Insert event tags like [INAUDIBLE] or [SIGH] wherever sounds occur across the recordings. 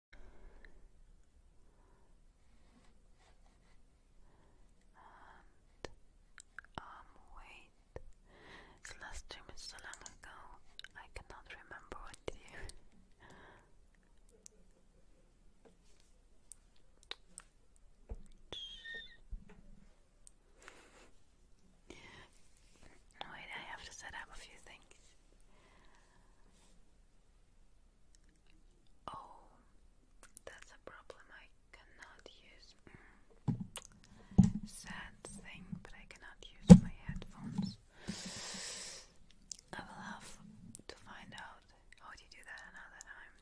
And um wait. This last stream is so long ago I cannot remember what to do. [LAUGHS] I have to set up a few things. Oh, that's a problem I cannot use. Sad thing, but I cannot use my headphones. I will have to find out how to do that another time.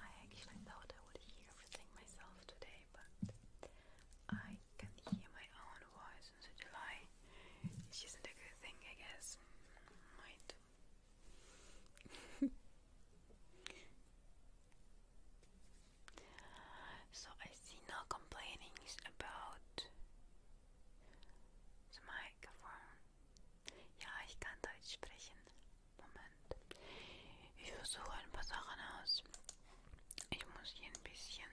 I actually thought I would hear everything myself today, but I can hear my own on the July. It isn't a good thing, I guess. Might. [LAUGHS] so I see no complainings about the microphone. Ja, ich kann Deutsch sprechen. Moment. Ich versuche ein paar Sachen aus. Ich muss hier ein bisschen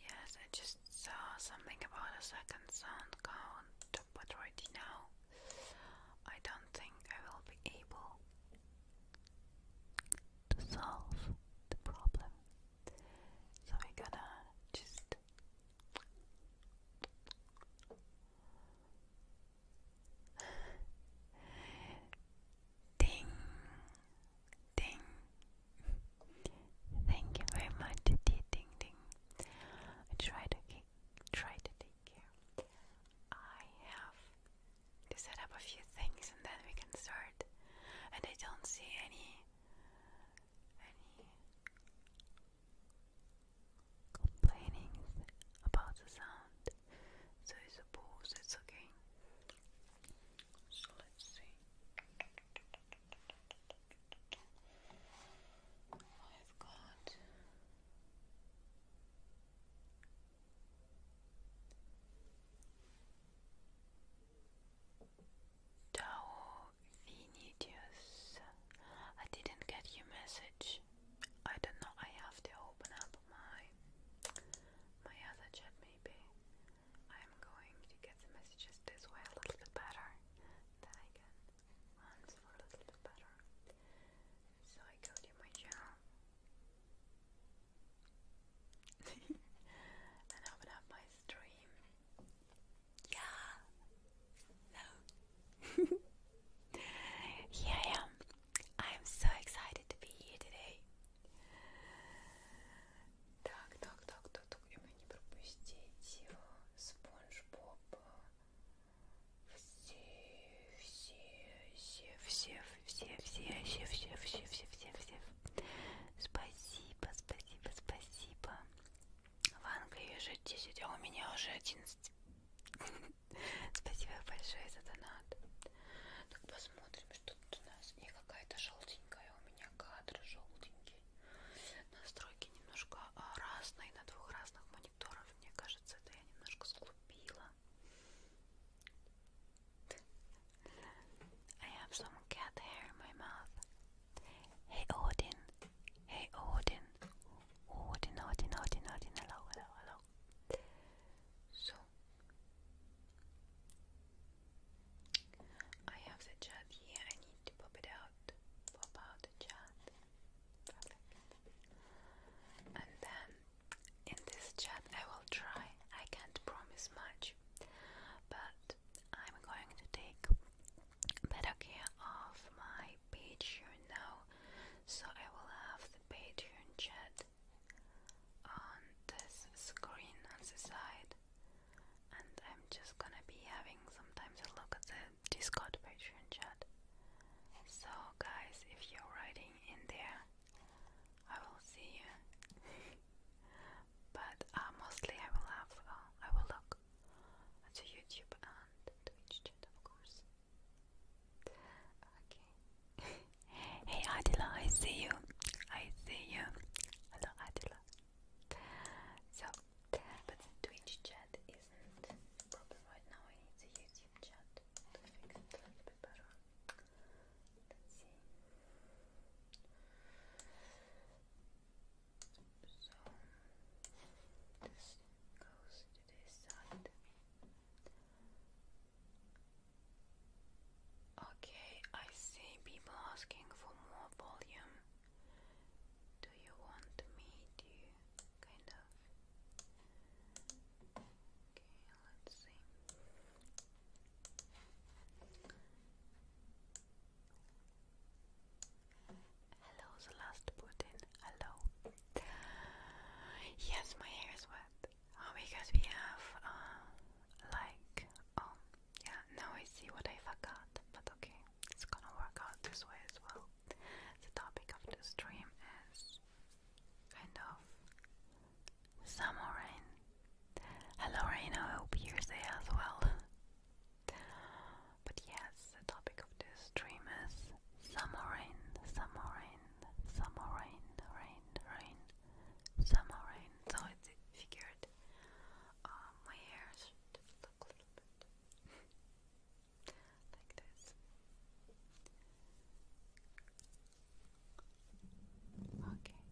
yes, I just saw something about a second sound count, but right now I don't think I will be able to solve the problem. So we're gonna just Ding, ding. Thank you very much, dear Ding Ding. I try to try to take care. I have to set up a few things, and then we can start. And I don't see any any complaining about the sound, so I suppose it's okay. So let's see. I've got Tao Vinicius, I didn't get your message. I don't know. I have to open up my my other chat. Maybe I'm going to get the messages this way a little bit better. Then I can answer a little bit better. So I go to my channel [LAUGHS] and open up my stream. Yeah. No. Here I am. I am so excited to be here today. Так, так, так, так, так. И мы не пропустить Спонж Боб. Все, все, все, все, все, все, все, все, все, все, все, все. Спасибо, спасибо, спасибо. в Англии уже 10, а у меня уже 11. [LAUGHS] Спасибо большое за донат. Так посмотрим, что тут у нас. И какая-то желтенькая. У меня кадр желтенький. Настройки немножко а, разные на двух разных мониторах. Мне кажется, это я немножко сглупила. [LAUGHS] I have some cat hair in my mouth. Hey Odin, hey Odin, Odin, Odin, Odin, Odin, hello, hello, hello. So, I have the chat here, I need to pop it out, pop out the chat, And then, in this chat I will try, I can't promise much, but I'm going to take better care of my Patreon now, so I will have the Patreon chat on this screen on the side, and I'm just gonna be having sometimes a look at the Discord Patreon chat. So, guys, if you're writing in there, I will see you. [LAUGHS] but uh, mostly, I will have uh, I will look to YouTube and Twitch chat, of course. Okay. [LAUGHS] hey Adila, see you. I see you. Hello Adila. So, but Twitch chat isn't the now. I need the YouTube chat to fix it so this goes to this side. Okay, I see people asking for more volume. Do you want me to kind of? Okay, let's see. Hello, the last Putin. Hello. Yes, my hair is wet. Oh, because we have, uh, like, oh, yeah, now I see what I forgot, but okay, it's gonna work out this way as well. The topic of the stream is kind of summer rain. Hello, Rain, hope you're there as well. But yes, the topic of this stream is summer rain, summer rain, summer rain, rain, rain, summer rain. So it's figured uh, my hair look a little bit like this. Okay.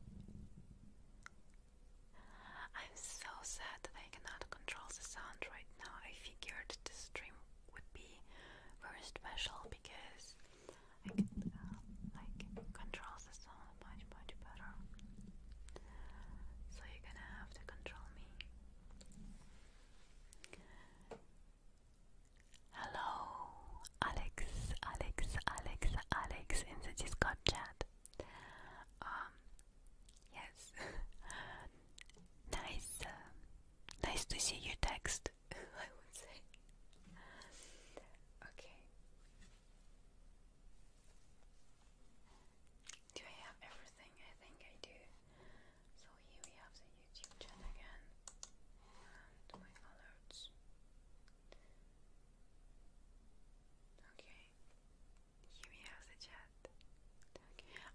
I'm so sad that I cannot control the sound right now. I figured this stream would be very special because I could uh, like control the sound much much better. So you're gonna have to control me. Hello, Alex, Alex, Alex, Alex in the Discord chat. Um, Yes. [LAUGHS] nice. Uh, nice to see your text. [LAUGHS] I would say. Okay. Do I have everything? I think I do. So here we have the YouTube chat again and my alerts. Okay. Here we have the chat.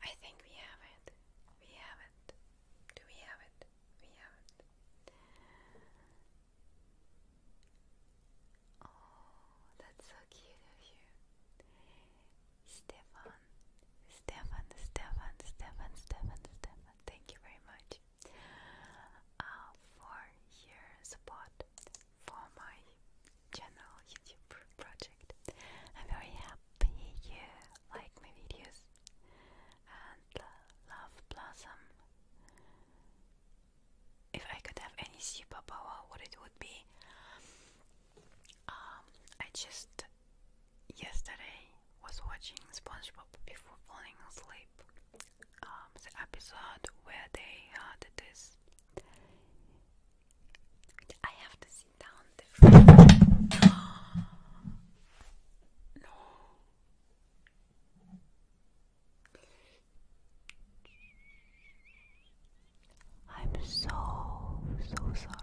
I think we have it. We have it. Do we have it? We have it. Oh, that's so cute of you. Stefan. Stefan, Stefan, Stefan, Stefan, Stefan. Thank you very much uh, for your support for my general YouTube project. I'm very happy you like my videos and love Blossom. If I could have any superpower, what it would be? Um, I just yesterday was watching SpongeBob before falling asleep. Um, the episode where they had this I have to sit down [GASPS] No. I'm so so sorry.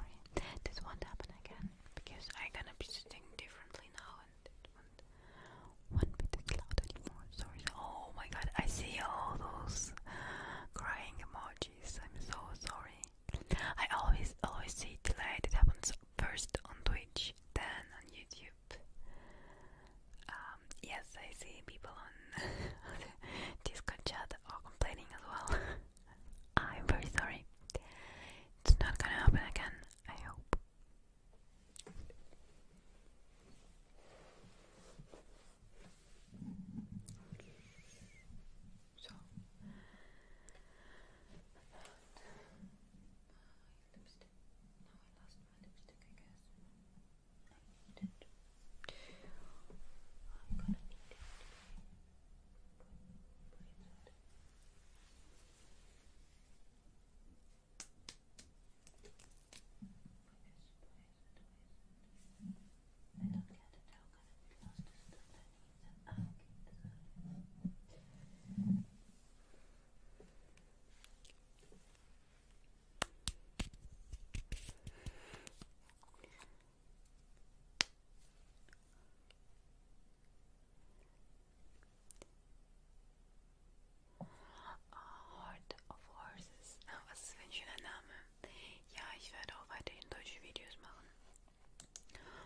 This won't happen again because I'm gonna be sitting differently now and it won't won't Sorry. Oh my god, I see all those crying emojis. I'm so sorry. I always always see delayed. It happens first on Twitch, then on YouTube. Um, yes, I see people [LAUGHS] on Discord chat are complaining as well. [LAUGHS] I'm very sorry. It's not gonna happen again. I hope. So my lipstick. Now I lost my lipstick, I guess. I need it. I'm gonna need it. A horde of horses. Вас свинчена нами. Ja, ich werde auch weiterhin deutsche Videos machen.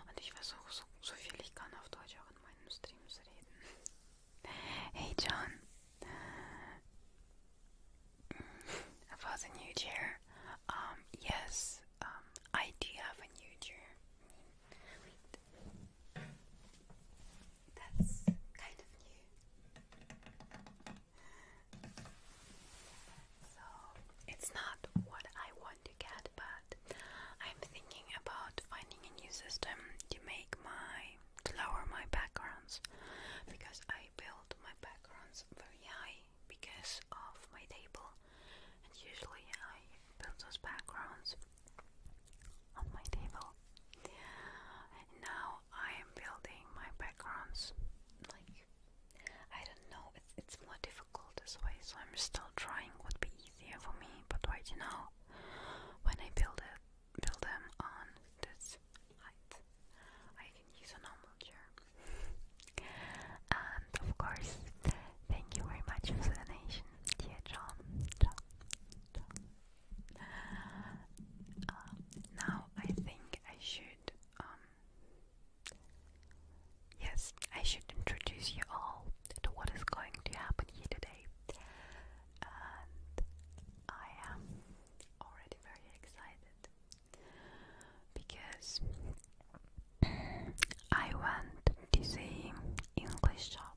Und ich versuche so, so viel ich kann auf Deutsch auch in meinen Streams reden. [LAUGHS] Hey John. For the new year. Um, yes, um, I do have a new year. Wait. That's kind of new. so it's not what I want to get, but I'm thinking about finding a new system to make my lower my backgrounds because I build my backgrounds very high because of my table, and usually I build those backgrounds on my table. And now I am building my backgrounds like I don't know, it's, it's more difficult this way, so I'm still trying what would be easier for me, but right now, when I build it, build them on this height, I can use a normal chair. and of course, thank you very much for the donation, dear John. Uh, now I think I should um, Yes, I should introduce you all to what is going to happen here today. And I am already very excited because I went to the English shop.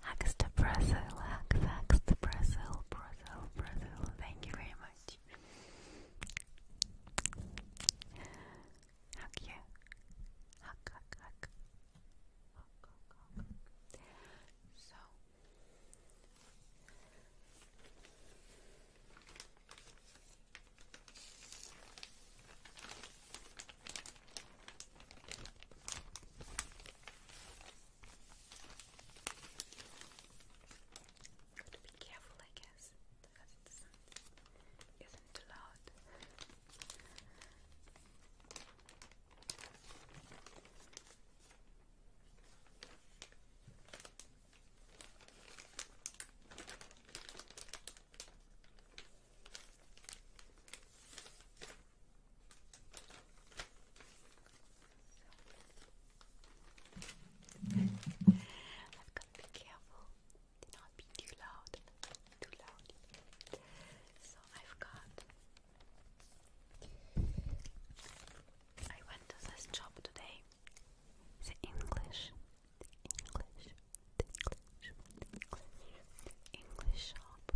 Hugs to Brazil, hugs, hugs to Brazil, Brazil, Brazil. Thank you very much. Hug you. hug, hug. Hug, hug, hug. So. Got to be careful, I guess, because it uh, isn't loud. I've got to be careful to not be too loud. Too loud. So I've got. I went to this job today. The English, English, English, English, English shop.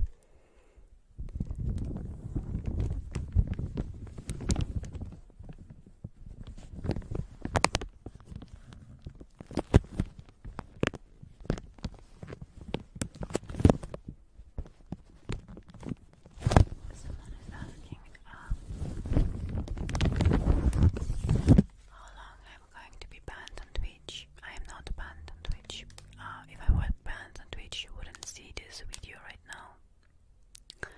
Someone is asking how long i going to be banned I am not banned on Twitch. Uh, if I were banned on Twitch, you wouldn't see this video right now.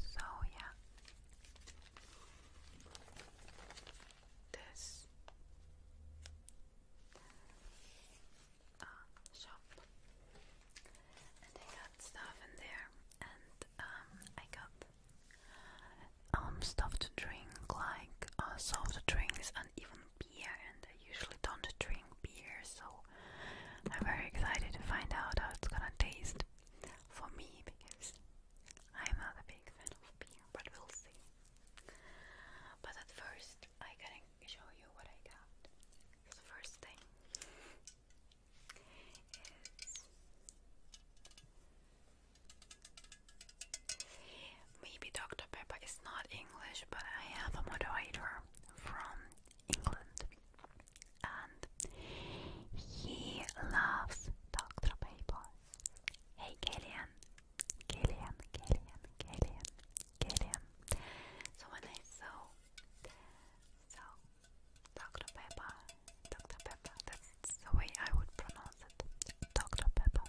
So, yeah. This uh, shop. And I got stuff in there. And um, I got um, stuff drink, like uh, soft drinks and even beer, and I usually don't drink beer, so I'm very excited to find out how it's gonna taste for me because I'm not a big fan of beer, but we'll see. But at first, I got show you what I got. the first thing is Maybe Dr. Pepper is not English, but I have a moderator from England and he loves Dr. Pepper. Hey Killian, Killian, Killian, Killian, Killian. So when I saw, so Dr. Pepper, Dr. Pepper, that's the way I would pronounce it. Dr. Pepper,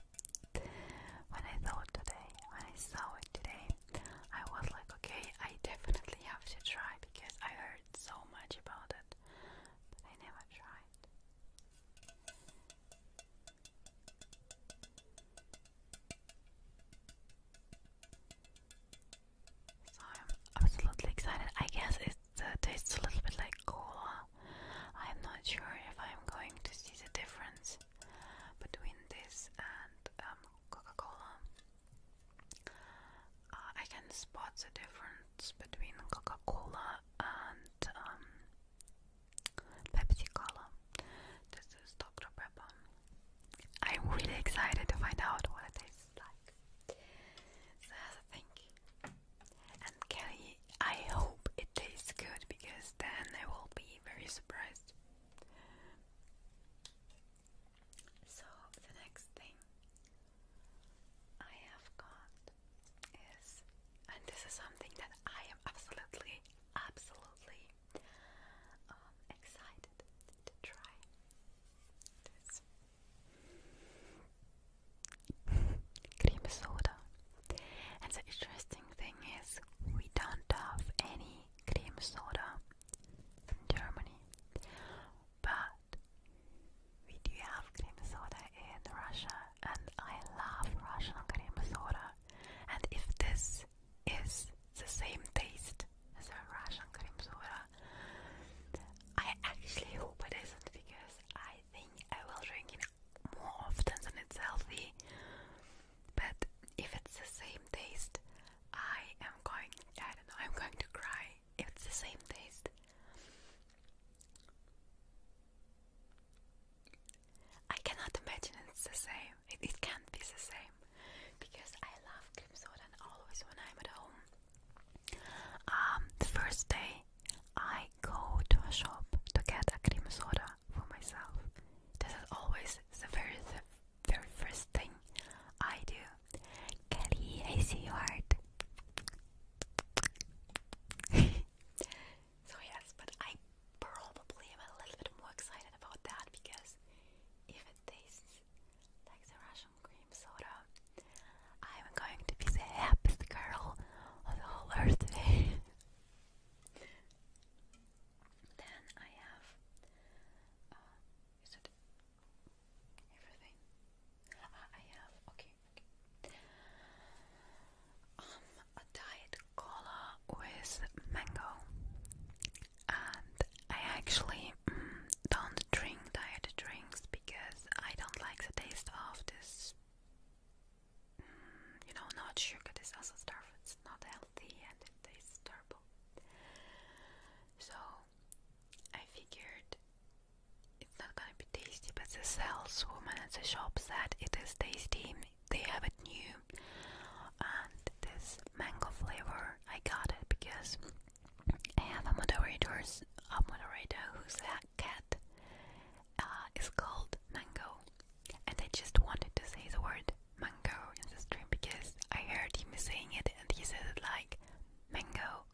when I saw it today, I was like, okay, I definitely have to try because I heard so much about it, but I never tried. So I'm absolutely excited. I guess it uh, tastes a little bit like cola. I'm not sure if I'm going to see the difference between this and um, Coca-Cola. Uh, I can spot the difference between Coca-Cola and um, Pepsi Cola. This is Dr. Pepper. I'm really excited to find out what it tastes like. that's a thing. And Kelly, I hope it tastes good because then I will be very surprised. So the next thing I have got is, and this is something that I am absolutely, absolutely um, excited to try. This cream soda. And the interesting thing is, we don't have any cream soda in Germany, but we do have cream soda in Russia, and I love Russian cream soda. And if this is the same taste as a Russian cream soda, I actually hope it isn't because I think I will drink it more often than it's healthy. But if it's the same taste, I am going. I don't know. I'm going to cry if it's the same taste. I cannot imagine it's the same. It, can't be the same because I love cream soda always when I'm at home. Um, the first day I go to a shop to get a cream soda for myself. This is always the very, the very first thing I do. Kelly, I see your heart. [LAUGHS] so yes, but I probably am a little bit more excited about that because if it tastes like the Russian cream soda, I'm going to be the happiest girl on the whole earth [LAUGHS] Then I have, uh, is everything? Ah, I have, okay, okay. Um, a diet cola with mango, and I actually mm, don't drink diet drinks because I don't like the taste of this. Mm, you know, not sugar, this also starves. It's not healthy, and in this So I figured it's not gonna be tasty, but the saleswoman at the shop said it is tasty. They have a new, and this mango flavor I got it because I have a moderator's a moderator whose cat uh, is called Mango, and I just wanted to say the word mango in the stream because I heard him saying it and he said it like mango,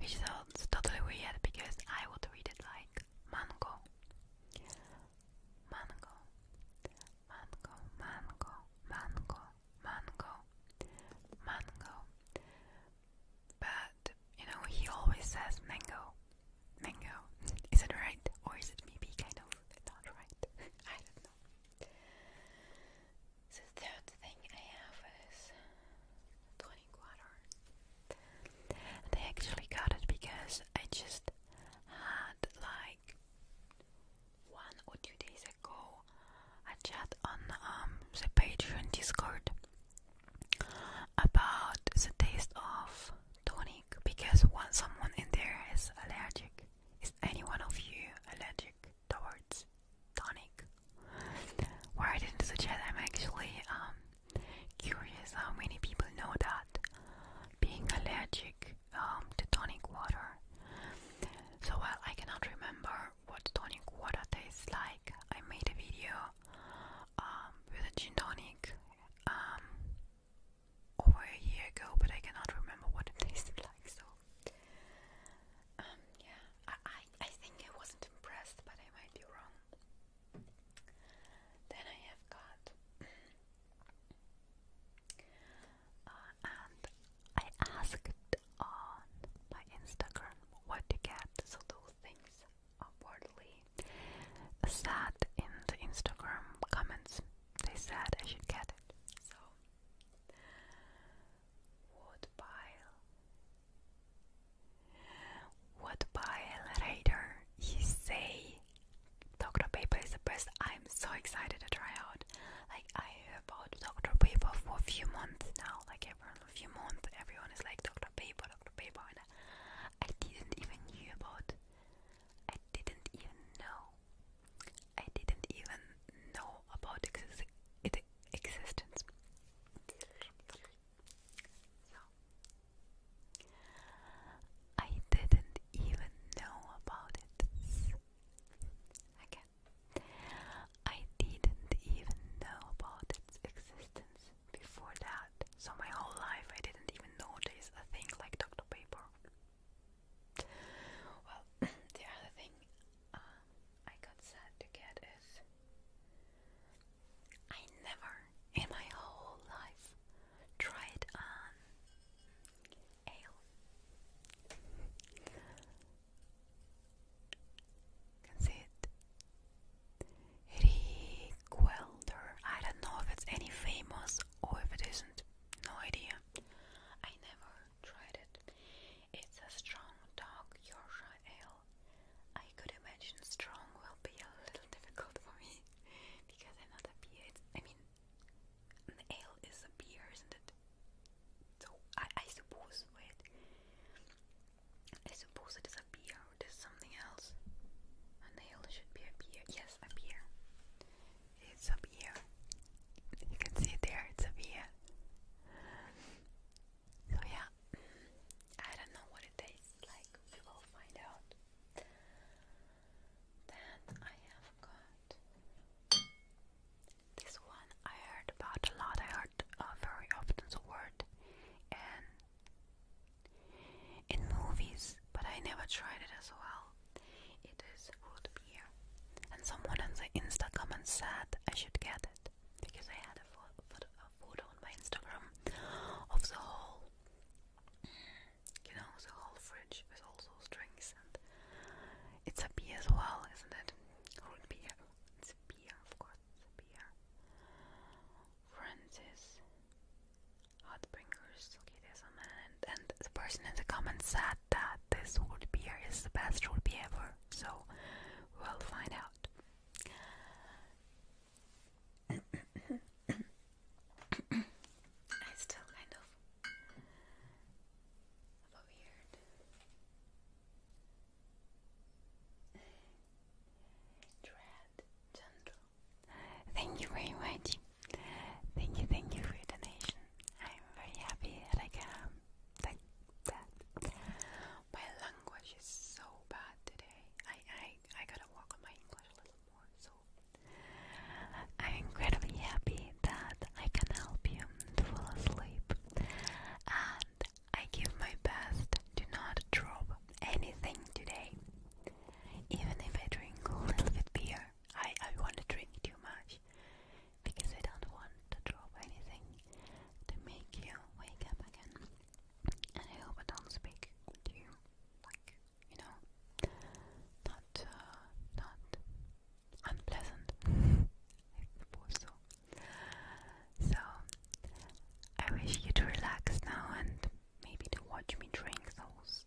which sounds totally weird because I would read it like mango, mango, mango, mango, mango, mango, mango. But you know, he always says mango, mango. [LAUGHS] Is it right, or is it maybe kind of not right. [LAUGHS] I don't know. The third thing I have is tonic water. And actually got it because I just had like one or two days ago a chat on um, the Patreon Discord about the taste of tonic because one someone in there is allergic is any one of you allergic towards tonic? Why I didn't I'm actually um, curious how many people know that being allergic um, to tonic water. So while I cannot remember what tonic water tastes like, I made a video um, with a gin tonic over a year ago, but I cannot remember what it [LAUGHS] tasted like. So, um, yeah, I, I, think I wasn't impressed, but I might be wrong. Then I have got, [CLEARS THROAT] uh, and I asked on my Instagram what to get, so those things upwardly sat in the Instagram comments they said I should get it. So, wood pile. Wood pile You say Dr. Paper is the best. I'm so excited to try out. Like I have about Dr. Paper for a few months now. Like every few months, everyone is like Dr. Paper, Dr. Paper, and I, I didn't even knew about. I didn't even know I didn't even know about its existence. I didn't even know about it. Again, I didn't even know about its existence before that. So, my whole life I didn't even know there's a thing like Dr. Paper. Well, [CLEARS THROAT] the other thing uh, I got sad to get is I never in my whole life tried on ale. Can see it. Rick I don't know if it's any famous or if it isn't. No idea. I never tried it. It's a strong dark Yorkshire ale. I could imagine strong will be a little difficult for me [LAUGHS] because I'm not a beer. It's, I mean, an ale is a beer, isn't it? So I, suppose wait. I suppose it is a beer or it is something else. An ale should be a beer. Yes, a beer. It's up here. You can see there, it's up here. So, yeah, I don't know what it tastes like. We will find out. Then I have got this one I heard about a lot. I heard uh, very often the word and in movies, but I never tried it as well. It is root beer. And someone on the Instagram comment said I should get it because I had a photo, a on my Instagram of the whole, you know, the whole fridge with all those drinks. And it's a beer as well, isn't it? Root beer. It's a beer, of course. It's a beer. Francis. Hot bringers, okay, there's a and, and the person in the comments said that this old beer is the best old beer ever, so we'll find out. [COUGHS] I still kind of a weird dread gentle. Thank you very much. Thank you, thank you for your donation. I'm very happy that I can My language is so bad today. I I I gotta work on my English a little more. So I'm incredibly happy that I can help you to fall asleep, and I give my best Do not drop anything today. Even if I drink a little bit beer, I I want to drink too much because I don't want to drop anything to make you wake up again. And I hope I don't speak to you like, you know, not, uh, not unpleasant, I suppose so. So, I wish you to relax now and maybe to watch me drink those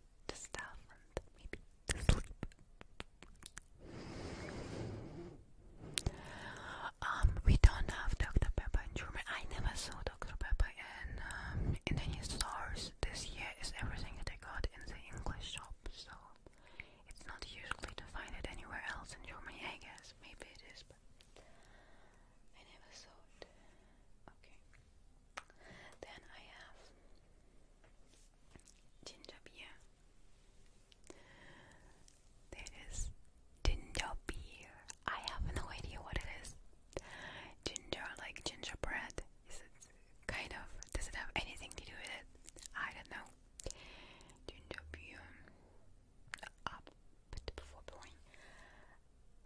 um, we don't have Dr. Pepper in Germany. I never saw Dr. Pepper in um, stores. This year is everything that I got in the English shop, so it's not usually to find it anywhere else in Germany. I guess maybe it is, but I never saw it. Okay. Then I have ginger beer. There Ginger beer. I have no idea what it is. Ginger, like gingerbread. Is it kind of? Does it have anything to do with it? I don't know. Ginger beer. Ah, Up, before blowing.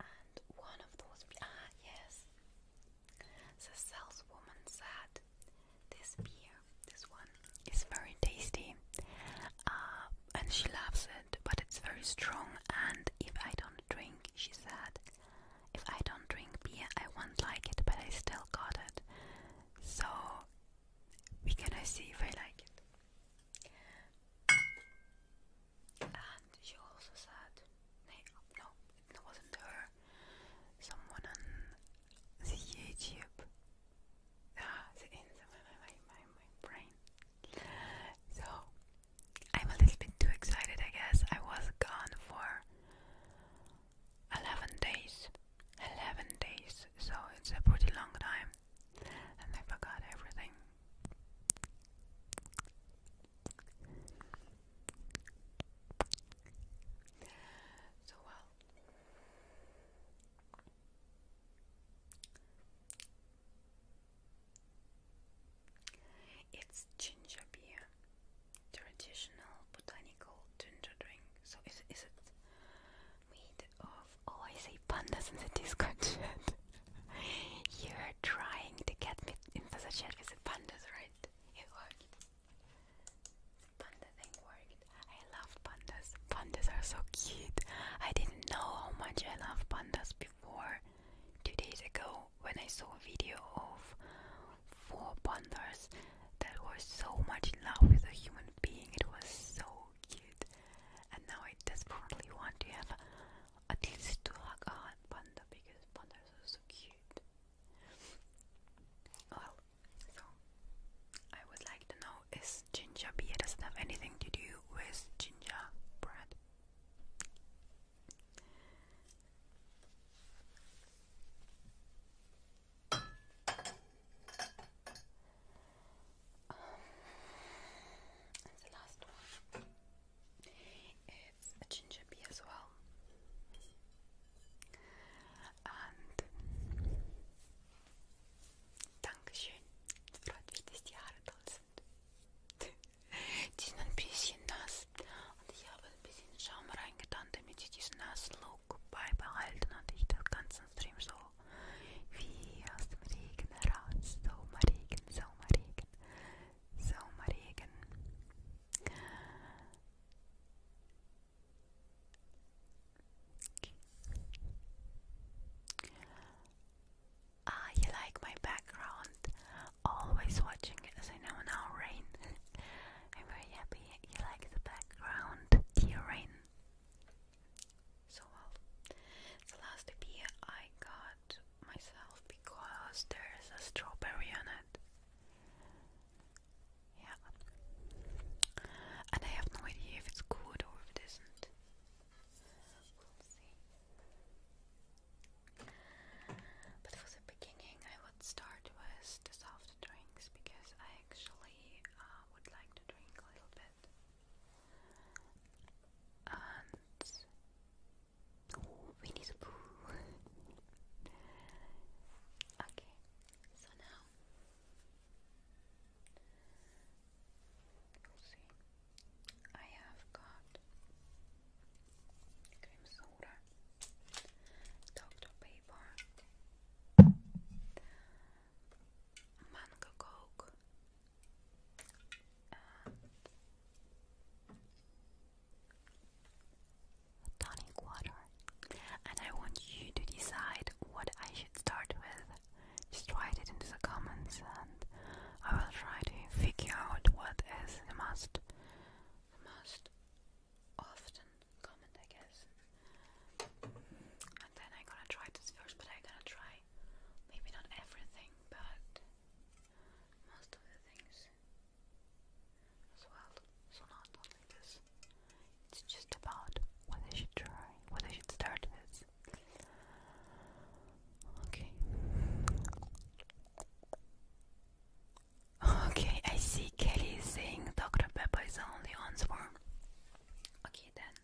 And one of those. Ah, yes. The saleswoman said, This beer, this one, is very tasty uh, and she loves it, but it's very strong. And if I don't drink, she said, if I don't drink beer, I won't like it, but I still got it. So we're gonna see if I like it. And she also said, no, it wasn't her, someone on the YouTube. Ah, the end of my, my, my, my brain. So, I'm a little bit too excited, I guess. I was gone for 11 days. 11 days, so it's a pretty long time. And I forgot everything so well. It's ginger beer, traditional botanical ginger drink. So is is it made of? Oh, I say pandas in the Discord chat. [LAUGHS] You're trying to get me into the chat with the pandas, right? It worked. Panda thing worked. I love pandas. Pandas are so cute. I didn't know how much I love pandas before. Two days ago, when I saw a video of four pandas that were so much in love with a human being, it was so cute. And now I desperately want to have at least two hug a panda because pandas are so cute. Well, so, I would like to know is ginger beer does not have anything to do with gingerbread? Um, the last one, it's ginger beer as well. Und Dankeschön. Es freut mich, dass die Haare toll sind. [LAUGHS] Die sind ein bisschen nass und ich habe ein bisschen Schaum reingetan, damit ich diesen nassen Look beibehalten und ich den ganzen Stream so wie aus dem Regen heraus. Sommerregen, Sommerregen, Sommerregen. Ah, you like my background? Always watching it as I know now, Rain. [LAUGHS] I'm very happy you like the background, dear Rain. So well, the last beer I got myself because there's a strawberry on it. Yeah. And I have no idea if it's good or if it But for the beginning, I would start with the soft drinks because I actually uh, would like to drink a little bit. And oh, [LAUGHS] okay, so now you'll see I have got cream soda, Dr. Pepper, mango coke, tonic water. And I want you to decide what I should start with. Just write it into the comments and I will try to figure out what is the most, most often comment, I guess. And then I'm gonna try this first, but I'm gonna try maybe not everything, but most of the things as well. So not only this, it's just about whether I should try, whether I should start this. Okay. Okay, I see Kelly saying Dr. Pepper is the only answer. Okay then,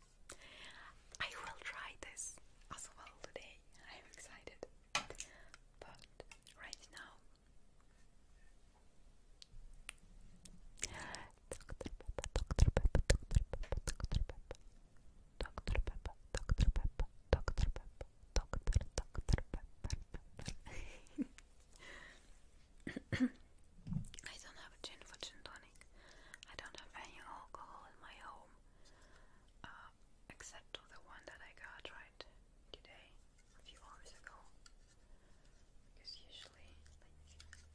I will try this as well today. I'm excited. But right now, I don't have a gin for gin tonic. I don't have any alcohol in my home. Uh, except the one that I got right today a few hours ago because usually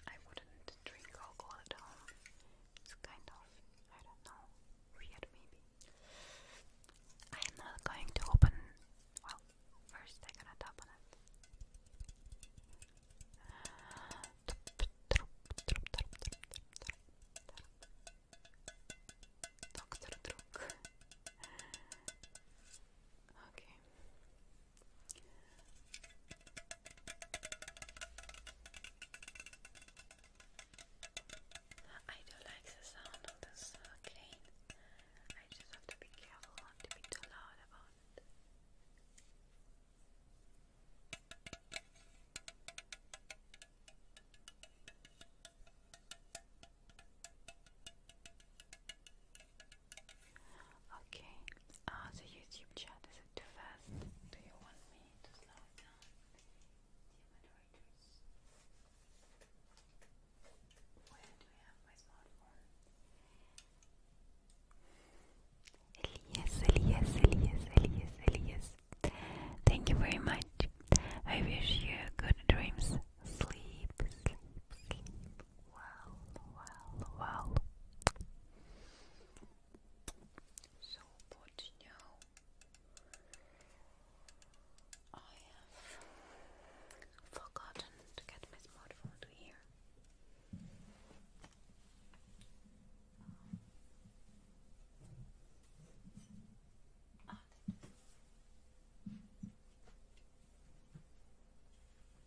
I wouldn't drink alcohol at home. It's kind of I don't know, weird maybe. I am not going to open well, first I'm gonna tap it. Doctor Druk. Okay. I do like the sound of this uh, I just have to be careful not to be too loud about it. Okay. Ah, the YouTube chat is it too fast? Do you want me to slow it down? Dear moderators, where do I have my smartphone? Elias, Elias, Elias, Elias, Elias. Thank you very much. I wish you good dreams sleep, sleep, sleep well, well, well. So, but now I have forgotten to get my smartphone to here.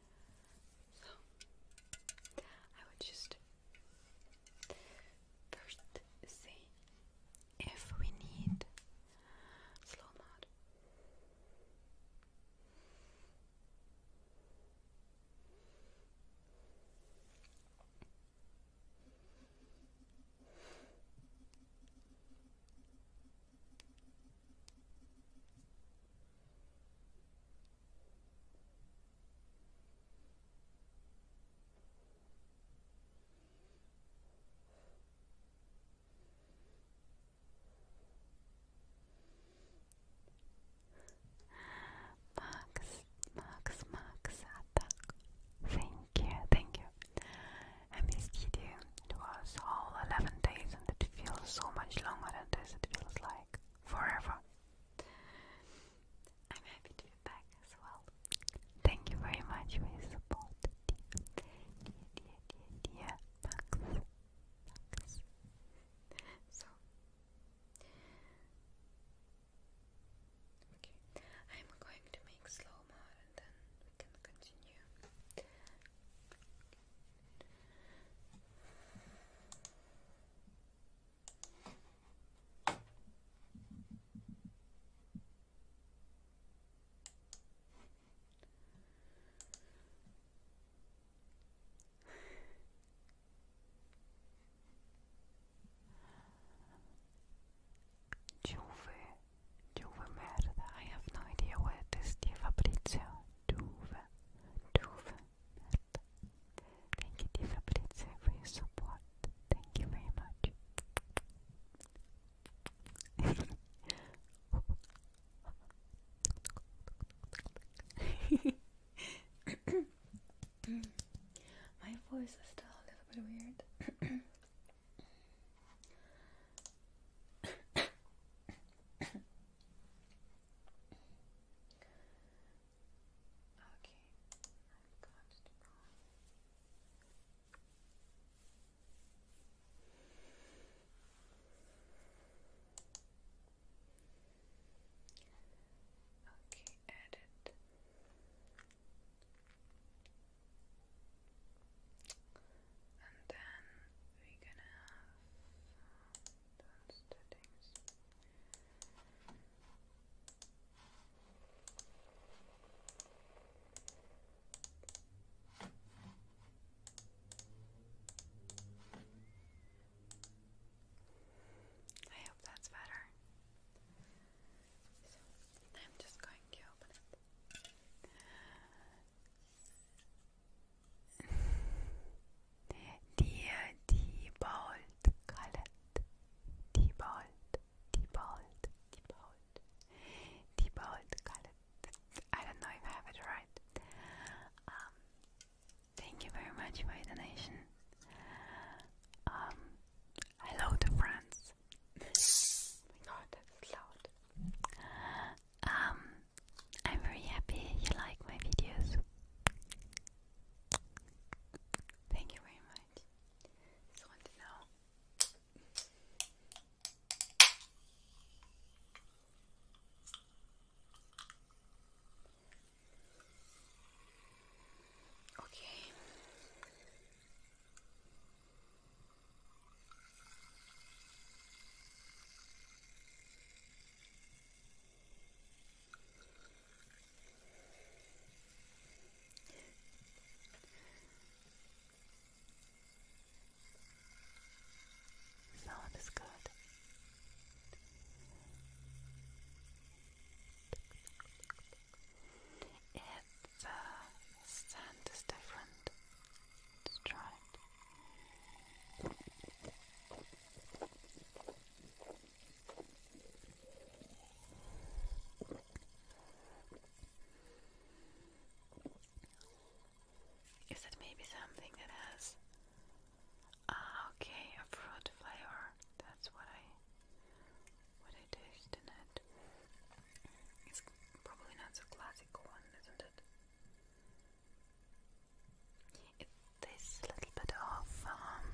So I would just first say if we need slow mod. Max, Max, Max Thank you, thank you. I missed you. was all 11 days and it feels so much longer than this. It feels like forever. I'm happy to be back as well. Thank you very much for your support, dear, dear, dear, dear, dear Max. Max. So, okay, I'm going to make slow mo and then we can continue. Juve, Juve merda, I have no idea where it is, dear Fabrizio. Juve, Juve Thank you, dear Fabrizio, for your support. Thank you very much. My voice is still a little bit weird. Okay, I've got to Okay, edit. And then we're gonna have those two I hope that's better. I'm just going to open it. Diebold Colette. Diebold, Diebold, Diebold, Diebold Colette. I don't know if I have it right. Um, thank you very much for your donation. Um, hello to France. oh my god, that's loud. Um, I'm very happy you like my videos. Thank you very much. Just want to know. Okay. Sound is good. If the uh, scent is different, try it. Is that maybe something that has? Ah, okay, a fruit flavor. That's what I what I did in it. It's probably not the classic one, isn't It this little bit of um,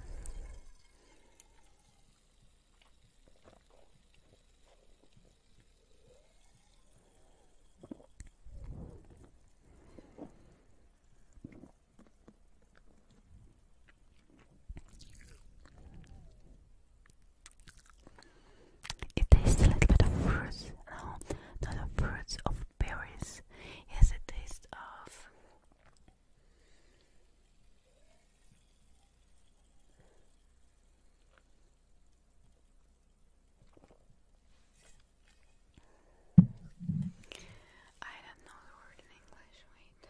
it tastes a little bit of fruits, no, not of fruits, of berries. Yes, it tastes of I don't know the word in English, wait.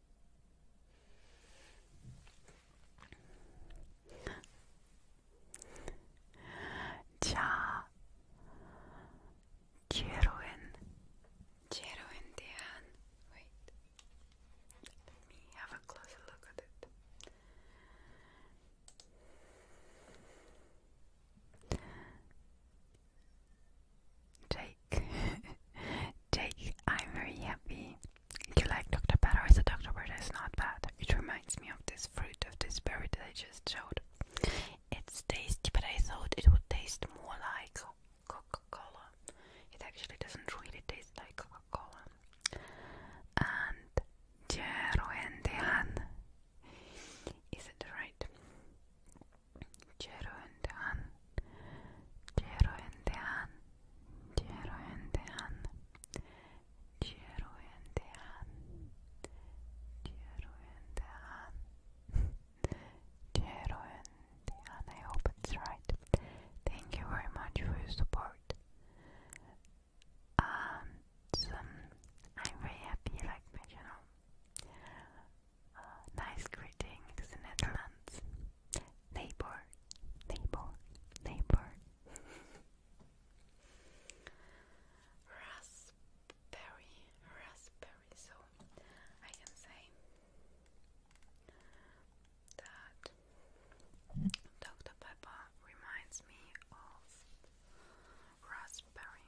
자, 제로엔, 제로엔 대한. Wait, let me have a closer look at it. J [LAUGHS] Jake. I'm very happy. You like Dr. Pepper? I said Dr. Pepper is not bad. It reminds me of this fruit of this berry that I just showed. It's tasty, but I thought it would taste more like Coca-Cola. It actually doesn't really taste like Coca-Cola. And Jeroendean. Is it right? Jeroendean. Ceruindean, Ceruindean, Ceruindean, Ceruindean, Ceruindean. I hope it's right. Thank you very much for your support. um, I'm very happy like my channel. Uh, nice greeting in the Netherlands neighbor, neighbor, neighbor. raspberry, raspberry. So I can say that Dr. Pepper reminds me of raspberry.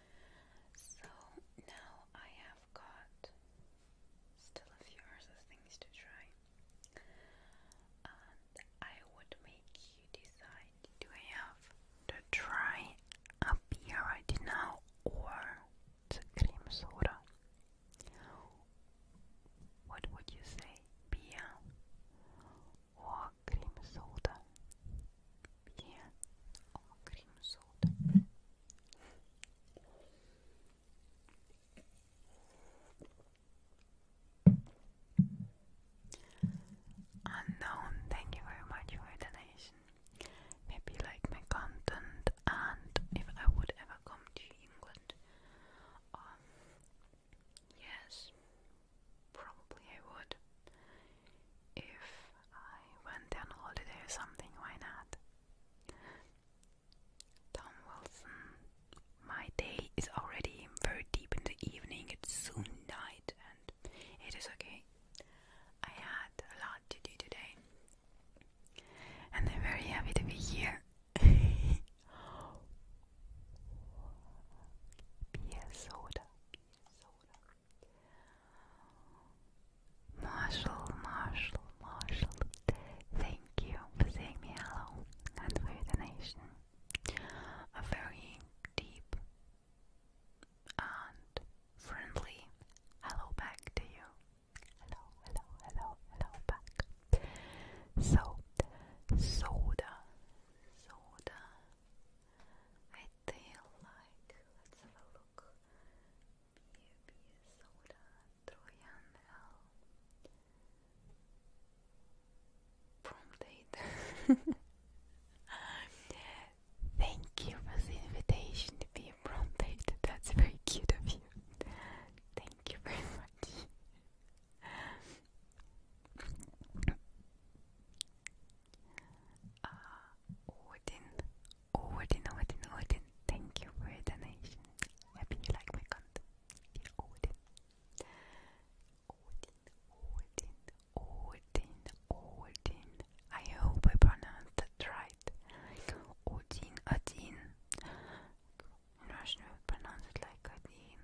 So now I have got still a few other things to try, and I would make you decide do I have to try a beer right now or the cream soda? What would you say? Beer och creamsoda. Yeah, och Unknown, thank you very much for your donation. Maybe like my content, and if I would ever come to England, um, yes, probably I would if I went on holiday or something, why not? Tom Wilson, my day is already very deep in the evening, it's soon night, and it is okay. I had a lot to do today, and I'm very happy to be here. Beer [LAUGHS] soda, Marshall, Marshall, Marshall, thank you for saying me hello and for the nation. A very deep and friendly hello back to you. Hello, hello, hello, hello back. So, soda, soda, I feel like let's have a look. Beer, soda, Trojan L. Prom date. Thank you for the invitation to be a prom date. That's very cute of you. Thank you very much. Uh, Odin, Odin, Odin, Odin, thank you for your donation. Happy you like my content. Odin. Odin, Odin, Odin, Odin. I hope I pronounced that right. Odin, Odin. In Russian, we pronounce it like Odin,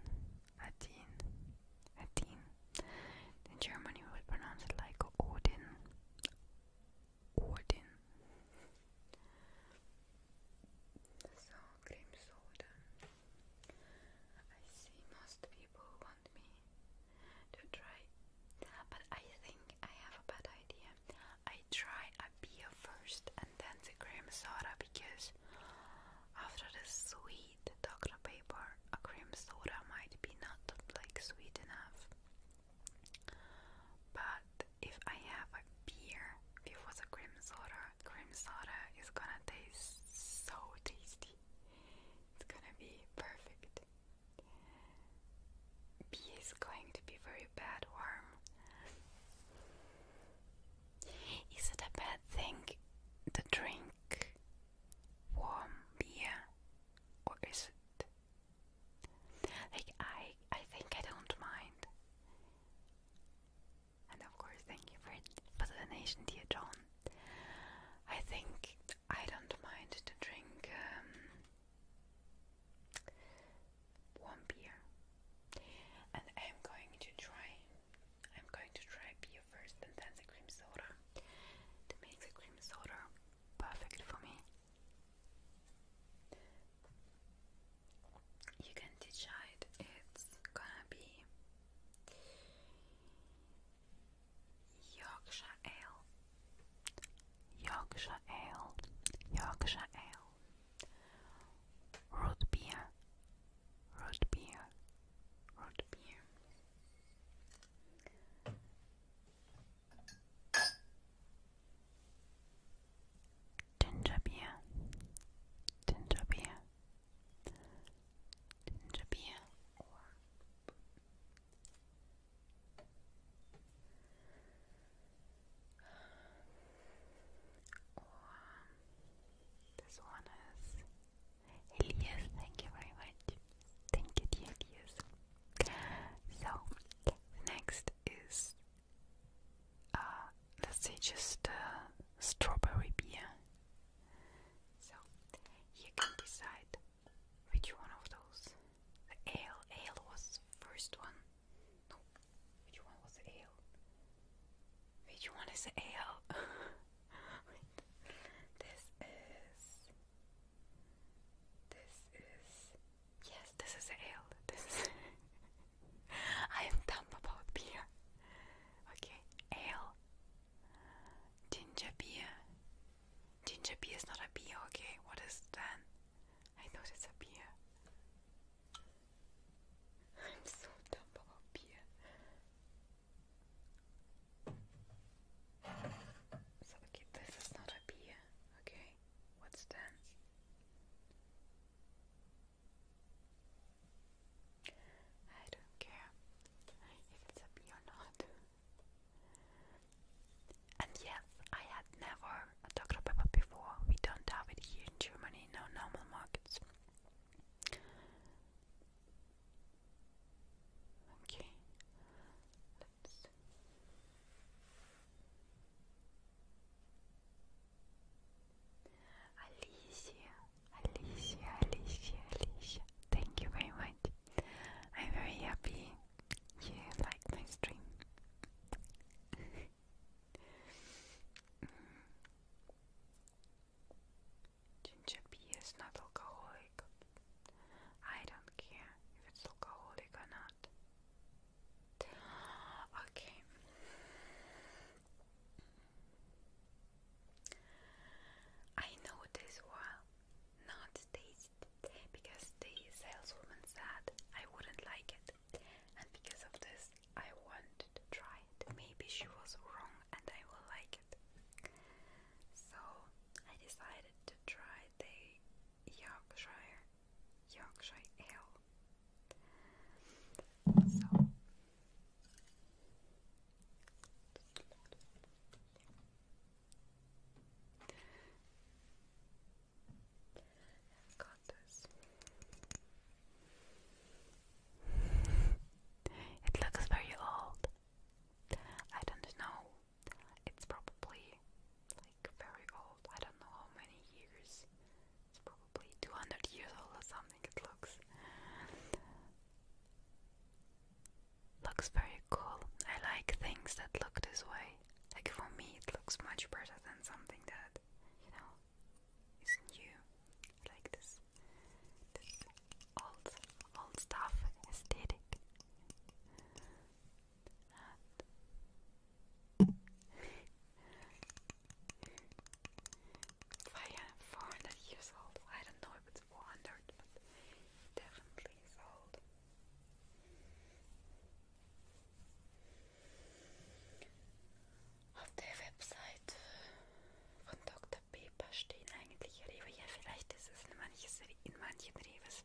Odin. Adin. In German you pronounce it like Odin. Odin. So, cream soda. I see most people want me to try, but I think I have a bad idea. I try a beer first and then the cream soda because after the sweet, the soda paper, a cream soda might be not like sweet enough. But if I have a beer before the cream soda, cream soda is gonna taste so tasty. It's gonna be perfect. Beer is going to be very bad warm. Is it a bad thing to drink warm beer or is it like I I think I don't mind. And of course thank you for the donation dear John. I think I don't mind to drink um, warm beer. And I'm going to try I'm going to try beer first and then the cream soda to make the cream soda perfect for me. You can decide it's gonna be Yorkshire Ale, Yorkshire Ale, Yorkshire Ale, root beer, root beer, root beer. Ginger beer, ginger this one is Elias. Thank you very much. Thank you, dear Elias. So next is uh, let's say just uh, strawberry beer. So you can decide which one of those. The ale, ale was first one. No, which one was the ale? Which one is the ale? [LAUGHS] This is this is yes, this is ale. This is [LAUGHS] I am dumb about beer. Okay, ale, ginger beer. Ginger beer is not a beer. Okay, what is then? I know it's a beer. I'm so dumb about beer. So okay, this is not a beer. Okay, what's then? I don't care if it's a bee or not. And yes, I had never a Dr. Pepper before. We don't have it here in Germany, no normal markets. Okay, let's Alicia, Alicia, Alicia, Alicia. Thank you very much. I'm very happy you like my stream. [LAUGHS] Ginger P is not alcoholic. I don't care if it's alcoholic or not. Okay. I know this well, not taste, because the saleswoman said I wouldn't like it, and because of this, I wanted to try it. Maybe she was wrong and I will like it. So I decided to try the Yorkshire Yorkshire ale. So i got this. It looks very old. I don't know it's probably like very old. I don't know how many years. It's probably 200 years old or something. It looks looks very cool. I like things that look this way. Like for me, it looks much better than something that you know is new. Like this, old old stuff aesthetic. hat. Four hundred years old. I don't know if it's four hundred, but definitely is old. Auf der Website von Dr. Pepper stehen eigentlich Rewe. Ja, vielleicht ist es in, manches, in manchen Reves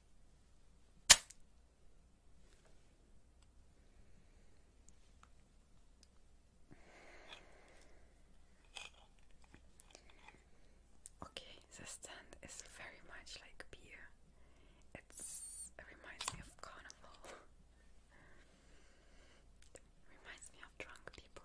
Okay, the stand is very much like beer. It's, it reminds me of carnival. reminds me of drunk people.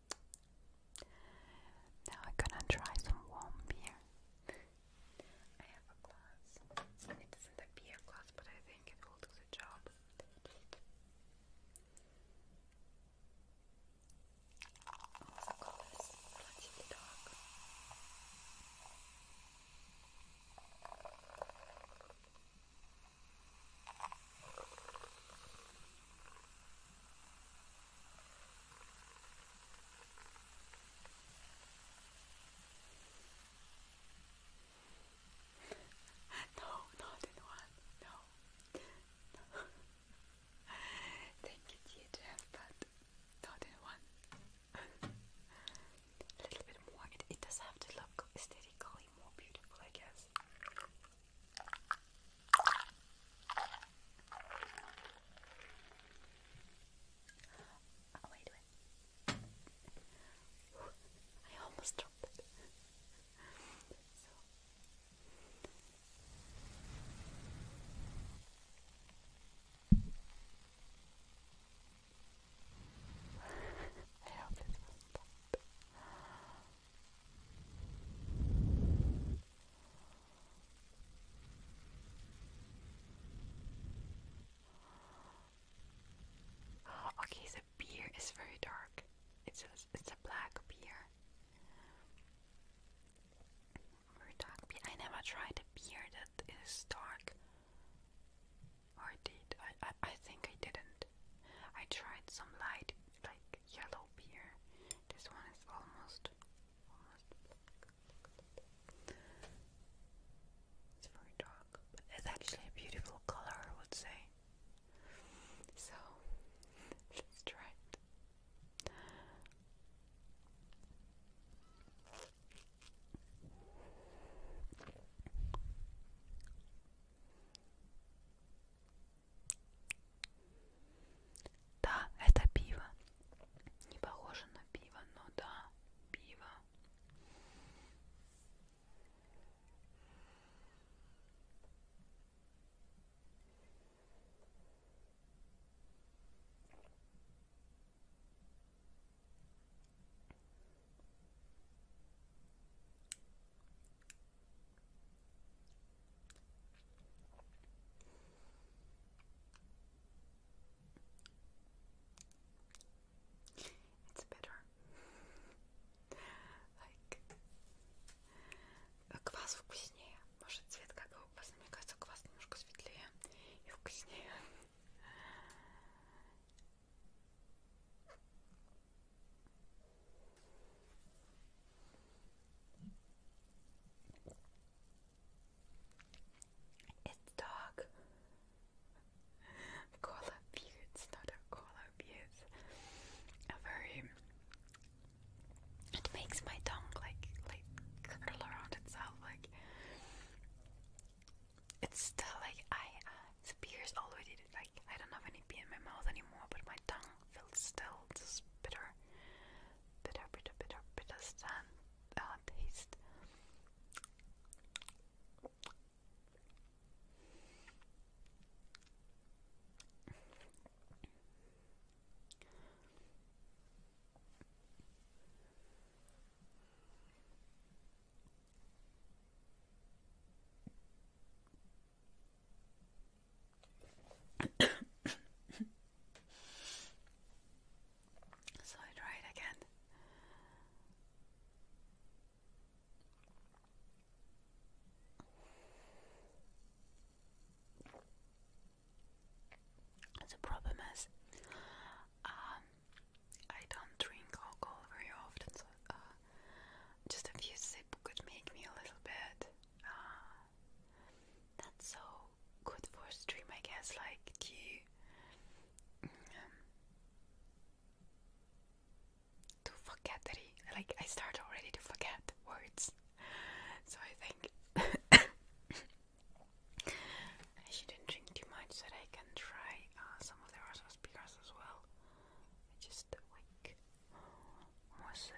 Now I'm gonna try some warm beer. I have a glass. It isn't a beer glass, but I think it will do the job. No, not in one. No. no. [LAUGHS] Thank you, THF, but not in one. A little bit more. it does have to look aesthetically more beautiful, I guess. Oh, wait, I almost dropped it. I hope this was Okay, the beer is very dark. It's it's a black beer. Very dark beer. I never tried a beer that is dark. Or did I? I think I didn't. I tried some light like yellow beer. This one is almost almost It's very dark, but it's actually a beautiful color, I would say. So [LAUGHS] let's try it. Да, это пиво. Не похоже на пиво, но да, пиво. It's bitter. like квас вкуснее. Может цвет какого кваса? Мне кажется, квас немножко светлее и вкуснее. It's dog. Koala [LAUGHS] beards, not a koala beards. very. It makes my tongue like like curl around itself. Like it's still like I uh, the beers already like I don't have any beer in my mouth anymore, but my tongue feels still just bitter bitter, bitter, bitter, bitter stand, uh, taste. [COUGHS] so I try it again. The problem is, um, I don't drink alcohol very often, so uh, just a few sips could make me a little bit uh, that's so good for stream, I guess. Like, you um, to forget that he, like I start already to forget words, so I think [COUGHS] I shouldn't drink too much so that I can try uh, some of the Russian speakers as well. I just like almost.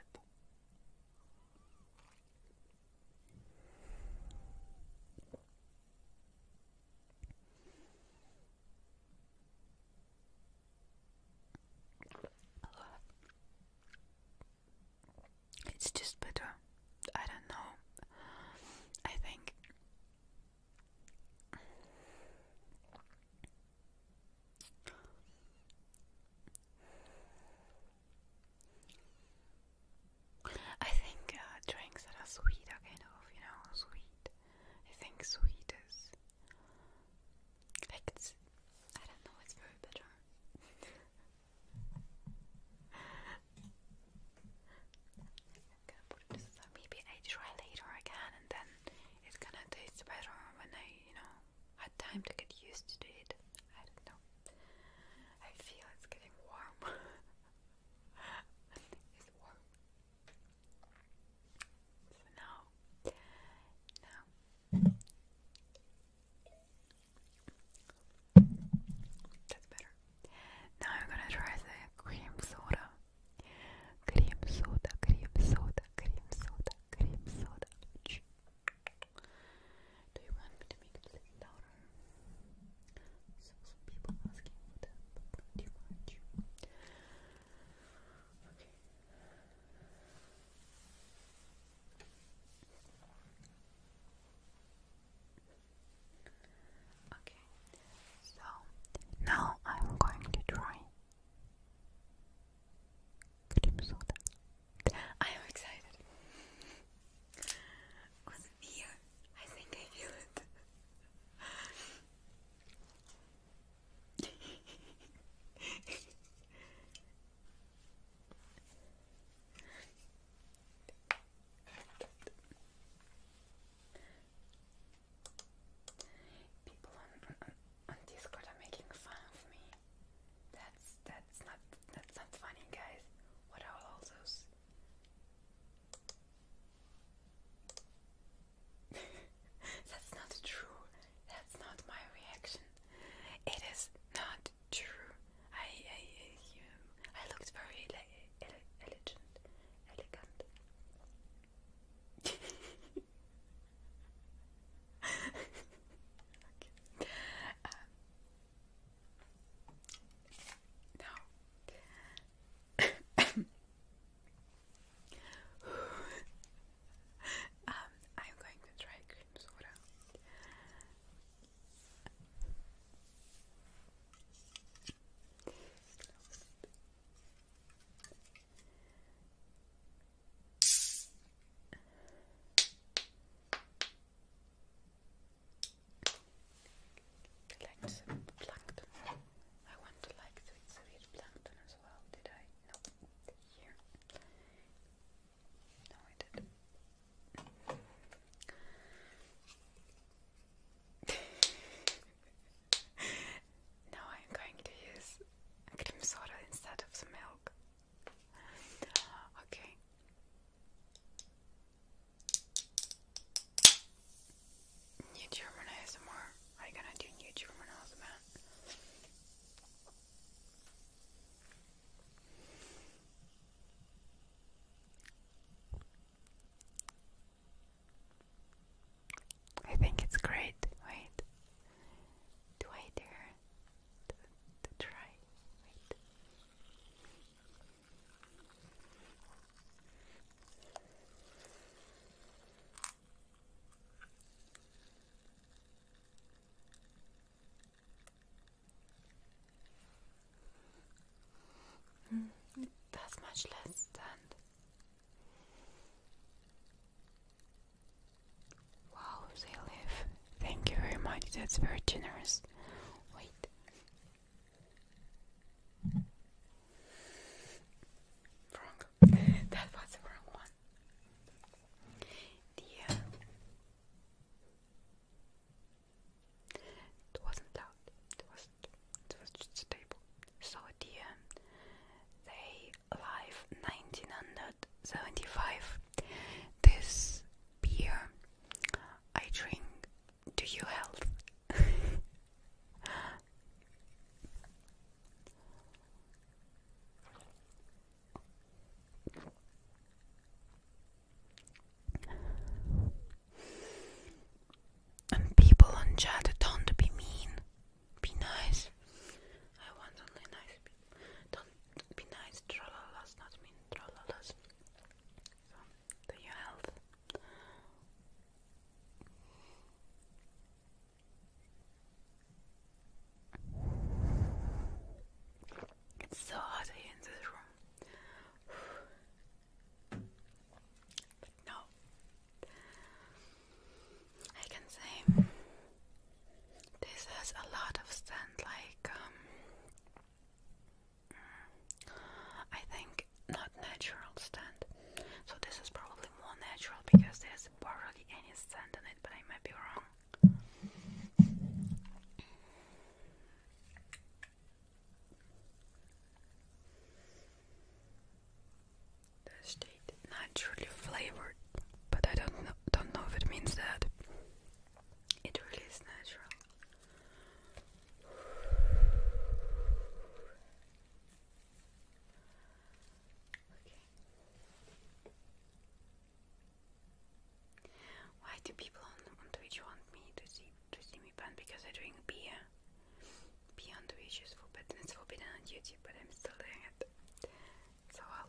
It's just better. I don't know. I think I think uh, drinks that are sweet are kind of, you know, sweet. I think sweet is like it's, I don't know, it's very bitter. Maybe I try later again, and then it's gonna taste better when I, you know, had time to get used to it. I don't know. I feel it's getting warm. [LAUGHS] it's warm. So now, now. That's better. Now I'm gonna try the cream soda. Cream soda, cream soda, cream soda, cream soda. Do you want me to make a little louder? So some people asking for that, but not too Okay. Okay, so now I'm going to try cream soda. I am excited. I think I feel it. People on on Discord are making fun of me. That's that's not that's not funny, guys. What are all those? [LAUGHS] that's not true. That's not my reaction. It is not true. I I I, um, looked very like elegant, elegant. [LAUGHS] Um, no. [COUGHS] um, I'm going to try cream soda. Collect some plankton. I want to like to eat some plankton as well. Did I? No. Here. No, I did. [LAUGHS] now I'm going to use cream soda instead of the milk. Okay. New German ASMR. I'm gonna do New German I think it's great. Wait. Do I dare? to, to try, that's much less than. Wow, they live Thank you very much, that's very generous. Wait. Wrong. [LAUGHS] that was the wrong one. Dear. Uh, it wasn't loud. It was it was just stable. So dear um, they live nineteen hundred seventy five. This beer I drink to you health. and people on chat don't be mean. Be nice. I want only nice people be nice, trollolas, not mean trollolas. So, your health. It's so hot in this room. no, I can say this has a lot of scent, like um, Mm. I think not natural stand. So this is probably more natural because there's probably any sand in it, but I might be wrong. The state naturally flavored, but I don't don't know if it means that. It really is natural. Okay. Why do people on, Twitch want me to see to see me ban? Because I drink beer. Beer on Twitch is forbidden. It's forbidden on YouTube, but I'm still doing it. So I'll.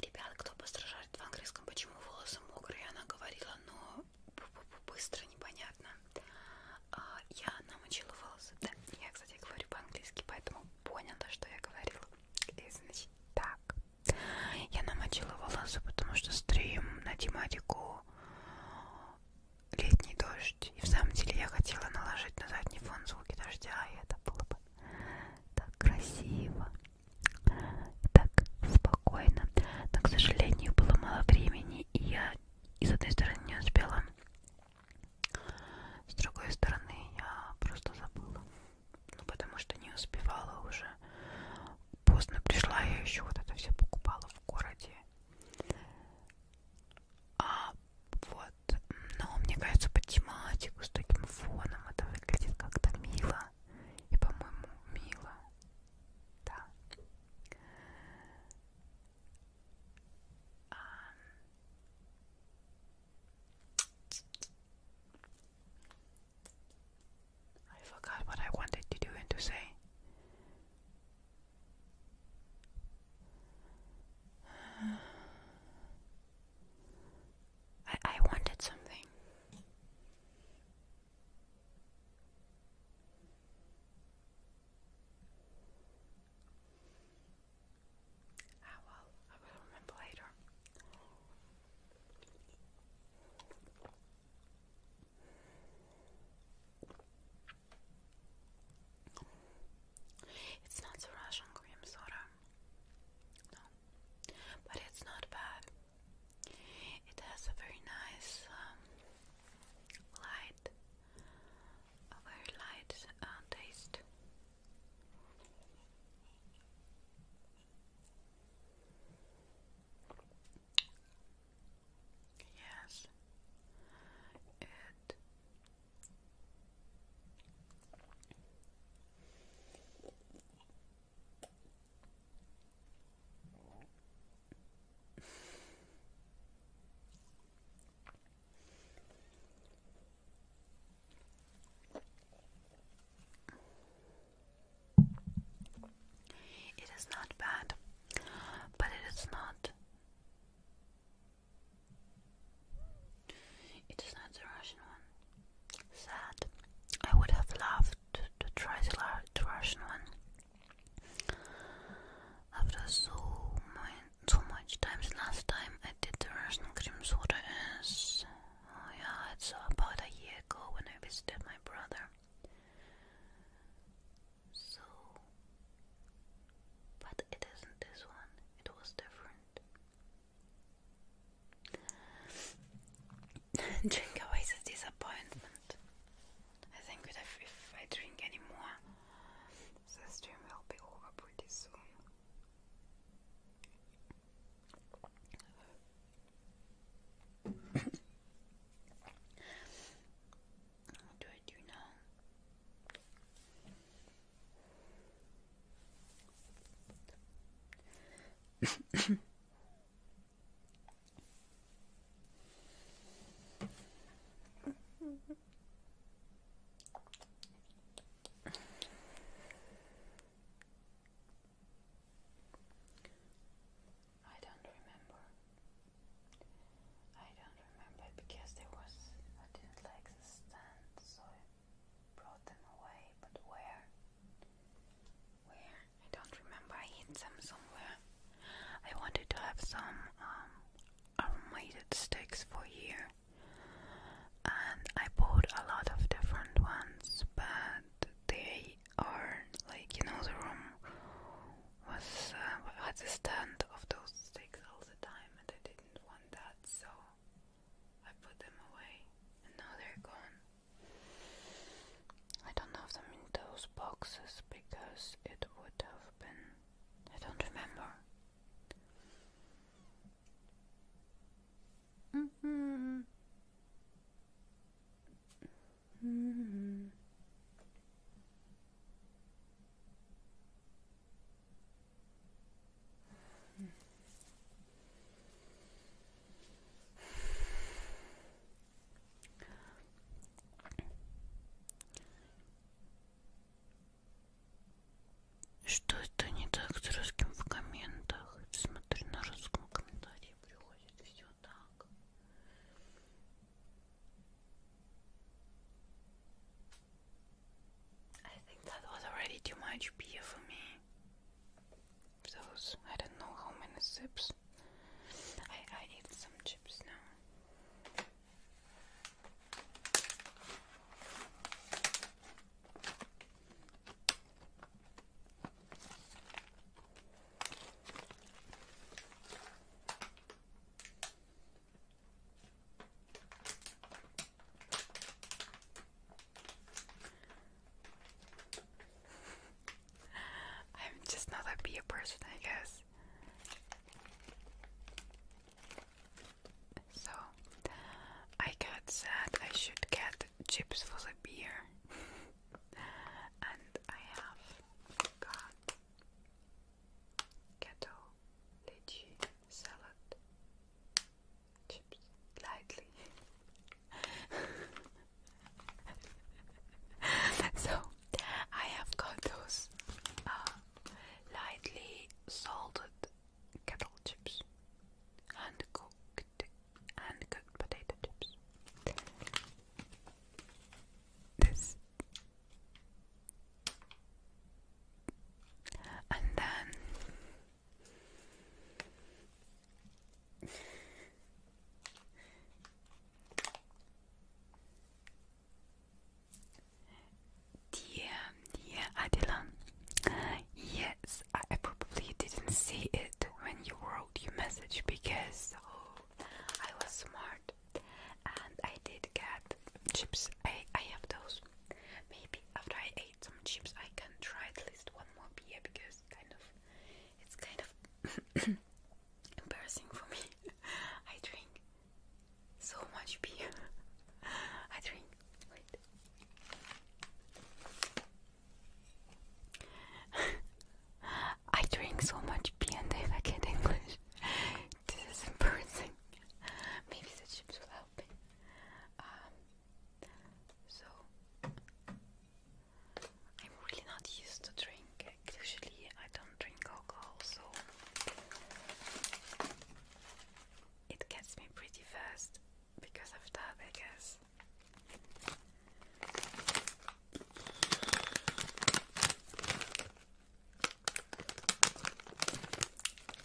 Ребят, кто постражает в английском, почему волосы мокрые, она говорила, но ну, быстро непонятно. А, я намочила волосы. Да, я, кстати, говорю по-английски, поэтому поняла, что я говорила. И значит так. Я намочила волосы, потому что стрим на тематику летний дождь. И в самом деле я хотела наложить на задний фон звуки дождя, и это было бы так красиво, так спокойно. Но, к сожалению, было мало времени, и я и с одной стороны не успела, с другой стороны я просто забыла ну потому что не успевала уже. Поздно пришла, я еще вот это все покупала в городе. А вот, но мне кажется, по тематику с таким фоном это выглядит как-то мило. И, по-моему, мило. Да. А... I forgot what I wanted to do and to say. I I wanted something. Ah well, I will remember later. It's not the Russian cream soda, no, but it's not bad. It has a very nice, um, light, a very light uh, taste. Yes, it it is not bad, but it is not. It is not the Russian one. Sad. I would have loved to, try the, Russian one. After so much, so much time, last time I did the Russian cream soda is Oh, I had about a year ago when I visited my brother. So, but it isn't this one, it was different. [LAUGHS] drink away the disappointment. I think that if, I drink any the stream will be over soon what do I do now? I don't remember. I don't remember because there was I didn't like the stand, so I brought them away. But where? Where? I don't remember. I hid them somewhere. I wanted to have some um, sticks for here, and I bought a lot of different ones, but they are like you know the room was uh, had a stand of those sticks all the time and I didn't want that so I put them away and now they're gone. I don't have them in those boxes because it would have been I don't remember. Что это не так с русским в комментах? Смотри, на русском комментарии приходит все. I think that was already too much beer for me. Those, I don't know how many sips. I, I need some chips now. [LAUGHS] I'm just not a beer person, I guess. So I got sad I should get chips for the beer. [LAUGHS] and I have got ghetto lychee salad chips lightly. [LAUGHS] so I have got those uh, lightly salted kettle chips, hand cooked and cooked potato chips. This and then Dear, dear Adilan, yes, I probably didn't see it when you were your message because oh, I was smart and I did get chips. I, I have those. Maybe after I ate some chips I can try at least one more beer because kind of it's kind of [COUGHS] embarrassing for me. [LAUGHS] I drink so much beer. [LAUGHS] I drink I drink so much beer and I forget English. this is embarrassing. Maybe the chips will help um, so, I'm really not used to drink. Usually, I don't drink alcohol, so it gets me pretty fast because of that, I guess.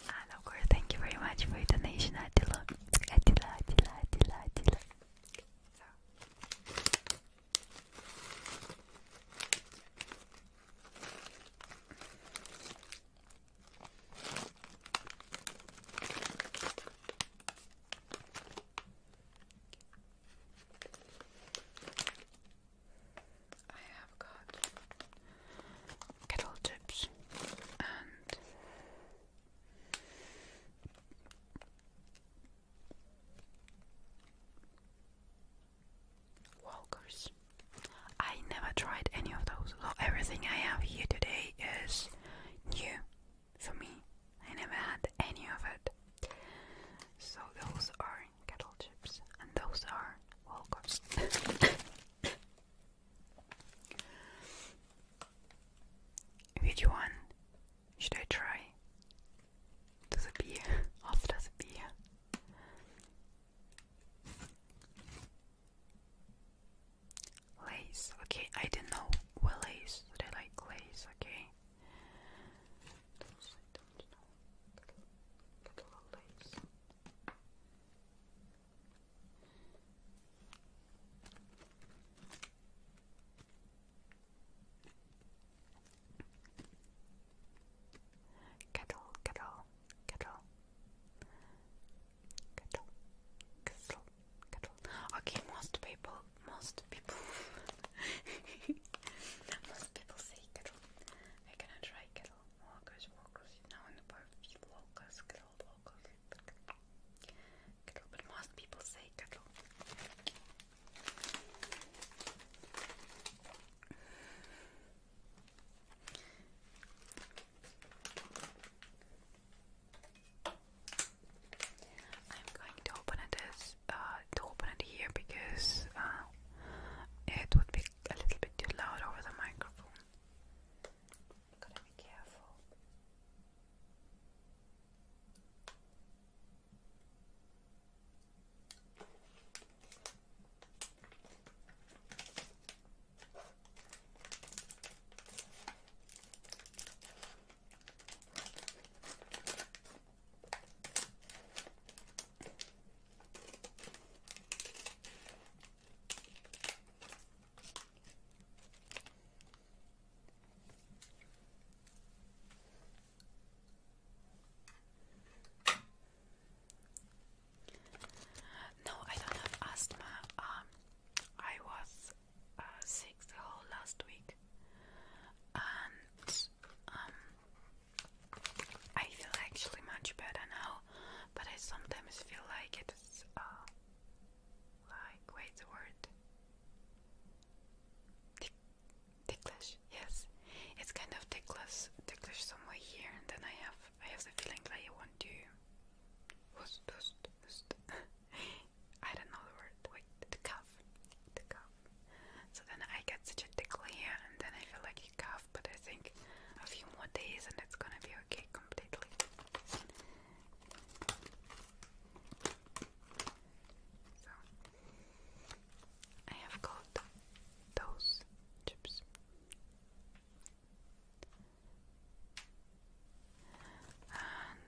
Ah, of course, thank you very much for your donation, Attila. Attila, Attila, Attila, Attila. So. I have got kettle chips and Walkers. I never tried any of those, so everything I have here today is new for me. I never had any of it. So those are kettle chips and those are Walkers. [COUGHS] Which one should I try? To the beer, after the beer. Lace, okay, I didn't know what lace, that I like lace, okay. Those I Kettle, kettle, kettle, kettle, kettle, kettle. Okay, most people most people [LAUGHS] most people say kettle. I cannot try kettle. Walkers, walkers, you in the part of locals, kettle, locals, kettle, but most people say kettle. I'm going to open it uh, here because uh, it would be a little bit too loud over the microphone. Gotta be careful. No, I don't have asthma. Um, I was uh, sick last week, and um, I feel actually much better now. But I sometimes feel like it's uh, like wait the word ticklish. Yes, it's kind of ticklish, ticklish somewhere here, and then I have I have the feeling that I want to. [LAUGHS] I don't know the word. Wait, the cough, the cough. So then I get such a tickle here, and then I feel like you cough. But I think a few more days, and it's gonna be okay completely. So I have got those chips. And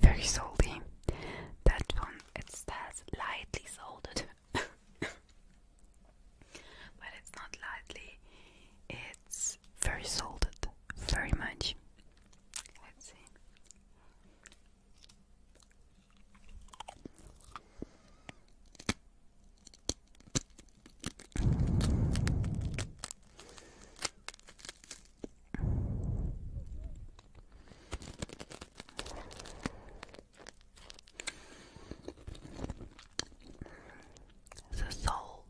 very salty. That one it says lightly salted, [LAUGHS] but it's not lightly. It's very salted, very much. Let's see. The salt.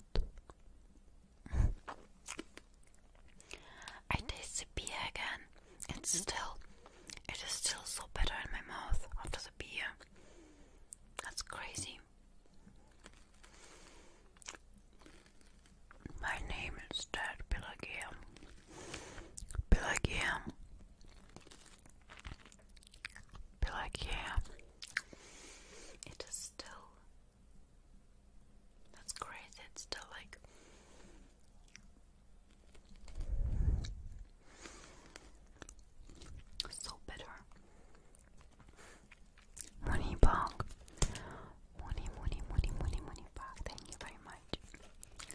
I taste the beer again. It's mm-hmm. still, it is still so bitter in my mouth after the beer. That's crazy. My name is Dad Pelagiam. Pelagiam. Pelagiam. It is still. That's crazy. It's still like. So bitter. Money bug. Money, money, money, money, money bug. Thank you very much.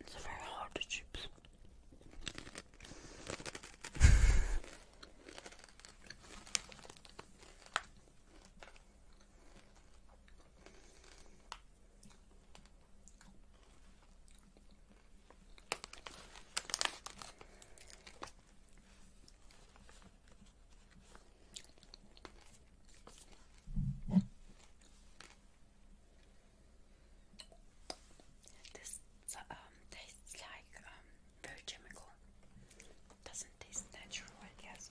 It's a very hard chips. [LAUGHS] This um, tastes like um, very chemical. Doesn't taste natural, I guess,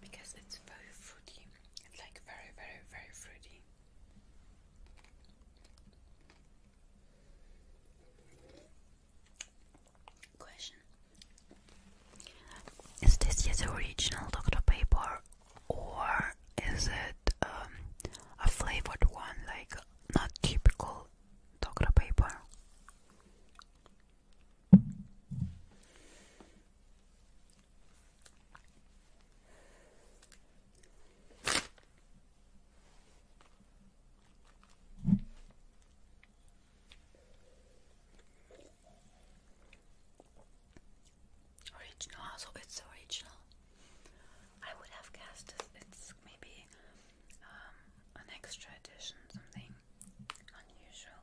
because it's very fruity. It's like very, very, very fruity. Is this your original Dr. Paper or is it um, a flavored one, like not typical Dr. Paper? Original, also it's original. I would have guessed it's maybe um, an extra edition, something unusual.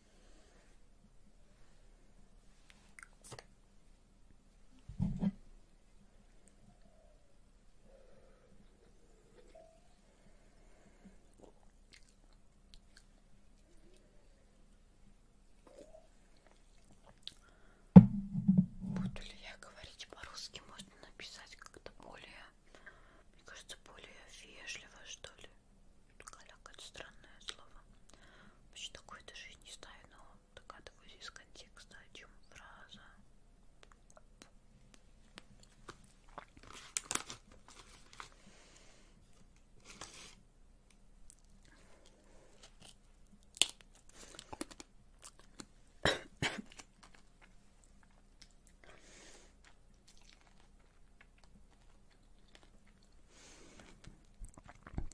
Буду ли я говорить по-русски? Можно написать как-то более, мне кажется, более вежливо, что ли. Каляка это странное слово. Почти такое даже и не знаю, но догадываюсь из контекста, о чем фраза.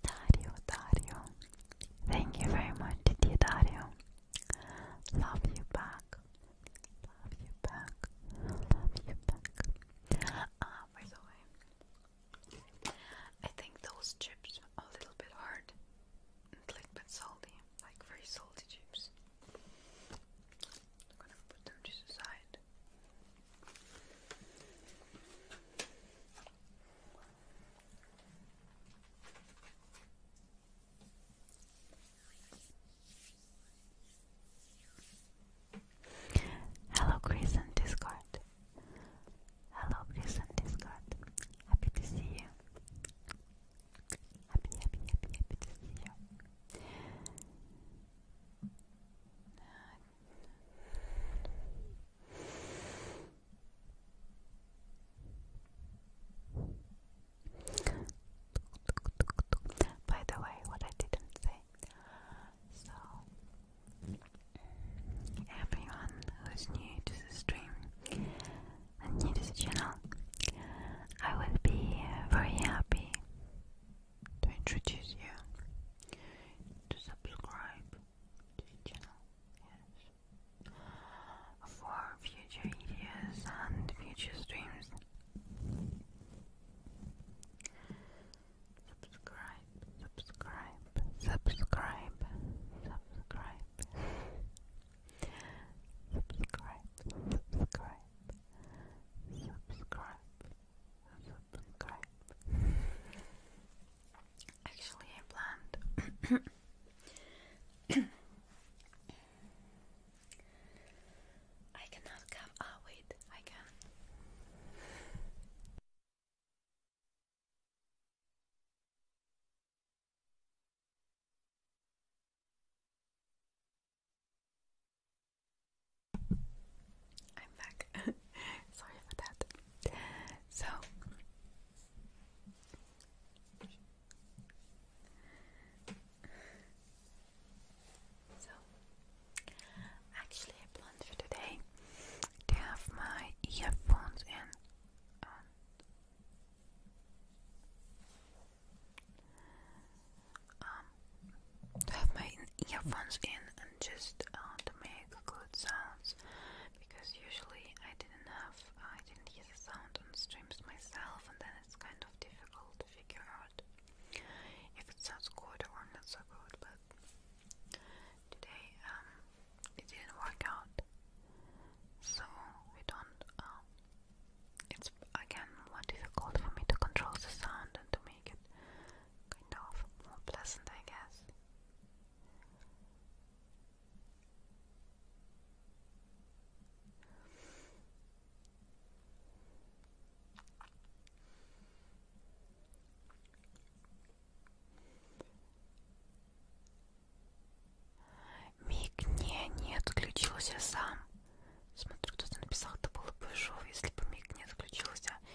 Dario, Dario, thank you very much, dear Dario. Love you back, love you back, love you back. Ah, by the way, I think those chips are a little bit hard, and like but salty, like very salty chips. I'm gonna put them to the Hello, Chris and Discord. Hello, Chris and Discord. Happy you. Happy, happy, you. By the way, what I didn't say. So, everyone who's new to the stream new to the channel, I would be very happy to introduce you to subscribe to channel. Yes. For future videos and future streams. subscribe, subscribe, subscribe, subscribe, subscribe, subscribe, subscribe, Actually, I planned I cannot come. Ah, wait, I can. I'm back. [LAUGHS] Sorry for that. So, so actually, I planned for today to have my earphones in. Um, to have my earphones in and just uh, to make good sounds because usually I didn't have I didn't hear the sound on streams myself and then it's kind of difficult to figure out if it sounds good or not so good but today um, it didn't work out so we don't um, it's again more difficult for me to control the sound and to make it kind of more pleasant, I guess. Мигне не отключился сам. Смотрю, кто-то написал, это было бы шоу, если бы миг не отключился.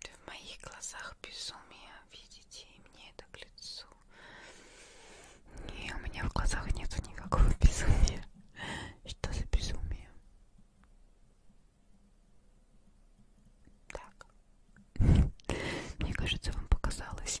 Ты в моих глазах безумие, видите, и мне это к лицу. Не, у меня в глазах нет никакого [LAUGHS] безумия. Что за безумие? Так. [LAUGHS] Мне кажется, вам показалось.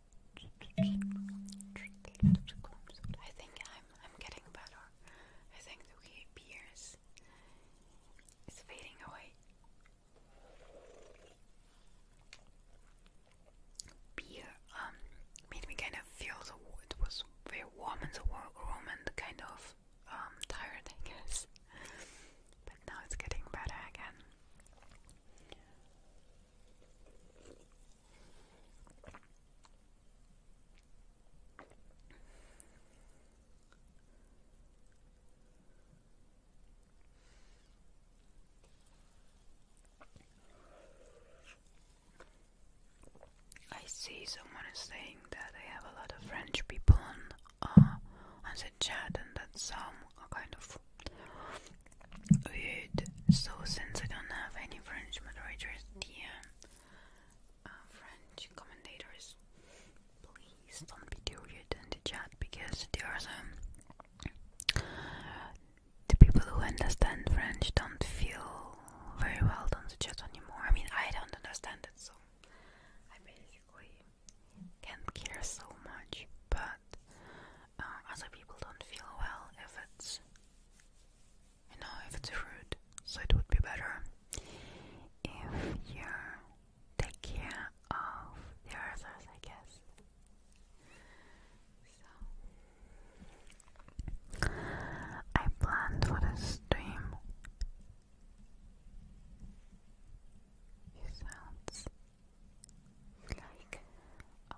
I think I'm I'm getting better. I think the weird beers is fading away. Beer um made me kind of feel the it was very warm in the room and kind of um, tired I guess. But now it's getting better again. I see someone is saying that they have a lot of French people on, uh, on the chat, and that some are kind of Good. So since I don't have any French moderators here, uh, French commentators, please don't be deluded in the chat because there are some the people who understand French don't feel very well Don't chat anymore. I mean, I don't understand it, so I really can't care so much. But uh, other people don't feel well if it's you know if it's rude. So it would be better if you take care of the others, I guess. So I planned for the stream. sounds like um,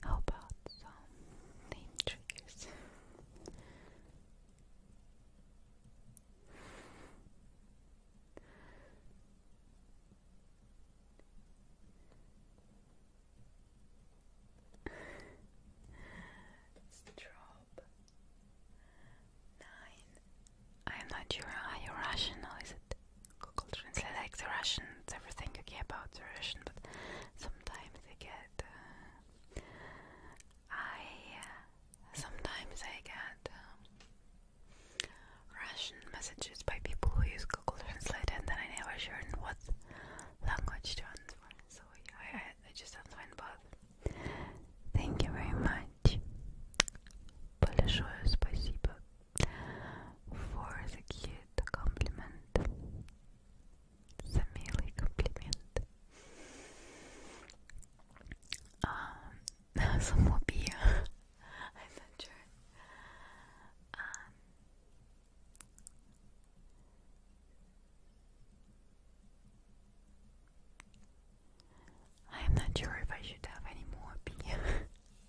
How about some name triggers? Strobe nine I'm not sure Are you Russian or is it Google Translate like the Russian, it's everything okay about the Russian, but sometimes I get uh, I uh, sometimes I get um, Russian messages by people who use Google Translate and then I never sure what language to answer. So I just don't find both. Thank you very much much. Большое спасибо for the cute compliment. За милый комплимент. Um, Самоубия. I'm not sure. Um, I'm not sure if I should have any more beer.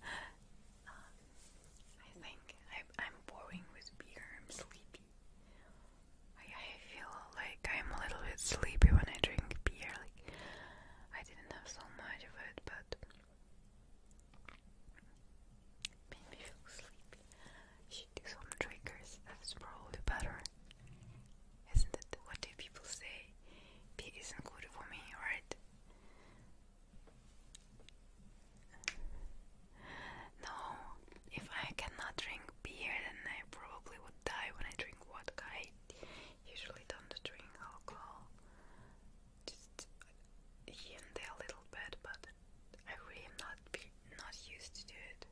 [LAUGHS] Um, I think I, am boring with beer. I'm sleepy. I, feel like I'm a little bit sleepy when I drink beer. Like I didn't have so much of it, but made me feel sleepy. Should do some triggers. That's probably better. Isn't it? What do people say? Beer isn't good for me, right? No, if I cannot drink beer, then I probably would die when I drink vodka. I usually don't drink alcohol, just here and there a little bit, but I really not be not used to do it.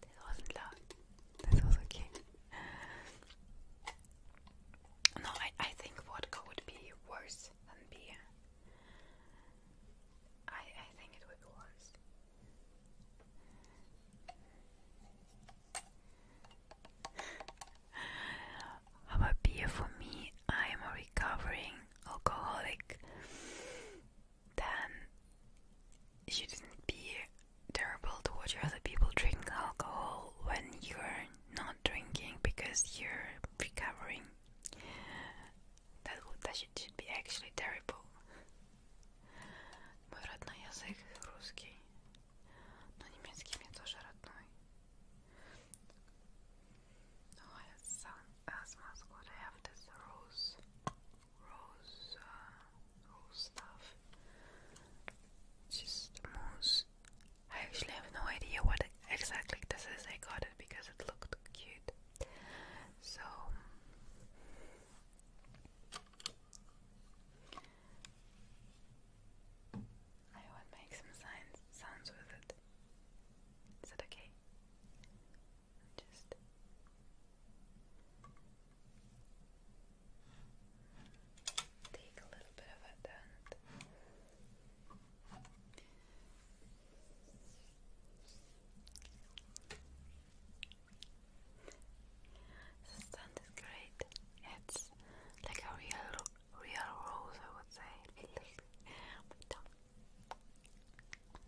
This wasn't loud. This was okay. No, I, I think vodka would be worse than beer. I, I think it would be worse. [LAUGHS] How beer for me? I am a recovering alcoholic then you shouldn't be terrible towards other people drinking alcohol when you're not drinking because you're recovering. That should, be actually terrible. Мой родной язык русский, но немецкий мне тоже родной. Oh, it sounds as have this rose rose, uh, stuff. Just mousse. I actually have no idea what exactly this is. I got it because it looked cute. So I will make some signs sounds with it. Is that okay? Just take a little bit of it down. The stand is great. It's like a real, real rose, I would say.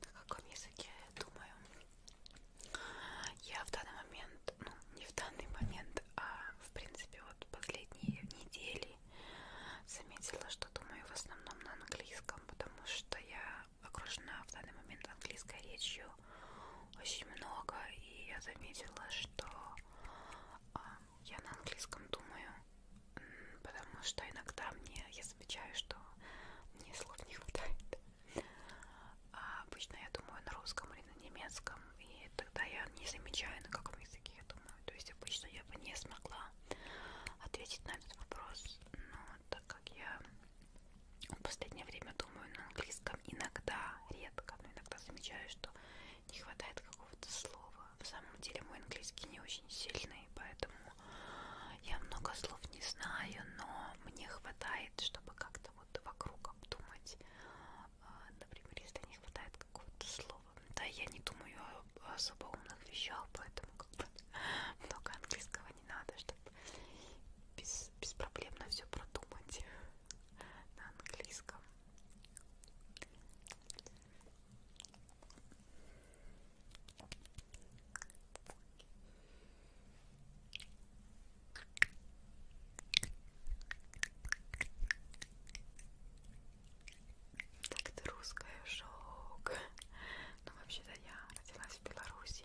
На каком языке я думаю? Я в данный момент, ну не в данный момент, а в принципе вот последние недели заметила, что думаю в основном на английском, потому что я окружена в данный момент английской речью очень много, и я заметила, что а, я на английском думаю, потому что иногда мне, я замечаю, что мне слов не хватает. А обычно я думаю на русском или на немецком, и тогда я не замечаю, на каком языке я думаю. То есть обычно я бы не смогла ответить на этот вопрос, но так как я в последнее время думаю на английском иногда, редко, но иногда замечаю, что не хватает какого-то слова. В самом деле мой английский не очень сильный, поэтому я много слов не знаю, но мне хватает, чтобы как-то вот вокруг обдумать. А, например, если не хватает какого-то слова. Да, я не думаю о особо умных вещах, поэтому как бы [LAUGHS] много английского этого не надо, чтобы без, беспроблемно все продумать на английском. Так ты русская шок. Ну вообще-то я родилась в Беларуси.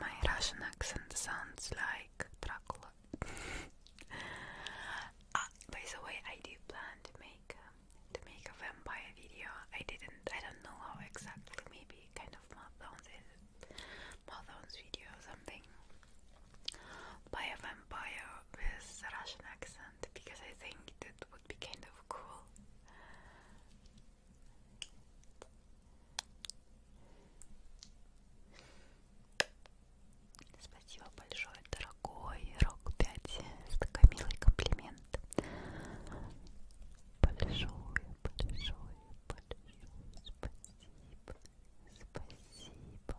my Russian accent sounds like Dracula. [LAUGHS] Ah, by the way, I do plan to make um, to make a vampire video. I didn't. I don't know how exactly. Maybe kind of marathons, marathons video something a vampire with Russian accent because I think that would be kind of cool. Спасибо большое, дорогой Рок 5, за такой милый комплимент. Большое, большое, большое спасибо. Спасибо.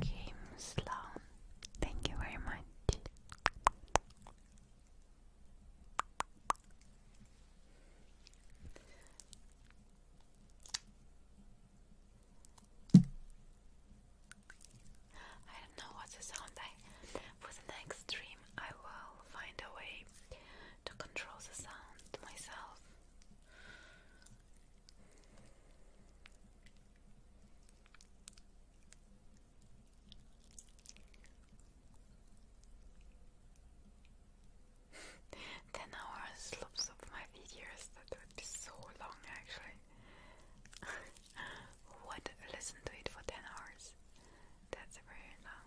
Kim Sloan, thank you very much. I don't know what's the sound. I, for the next stream, I will find a way to control the sound myself. [LAUGHS] Ten hours loops of my videos, that would so long actually. [LAUGHS] would listen to it for 10 hours? That's very long.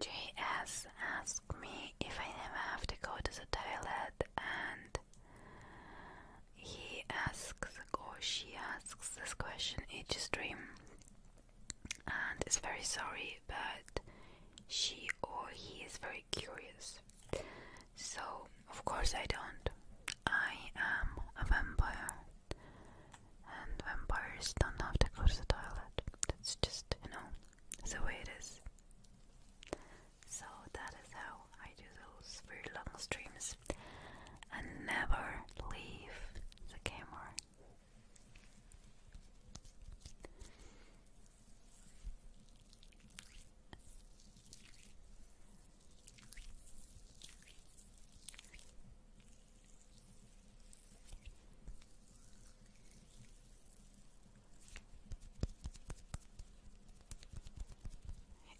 JS asked me if I never have to go to the toilet, and he asks or she asks this question each stream, and is very sorry, but she or he is very curious. So, of course, I don't. I am a vampire and vampires don't have to go to the toilet. That's just, you know, the way it is. So that is how I do those very long streams and never leave the camera.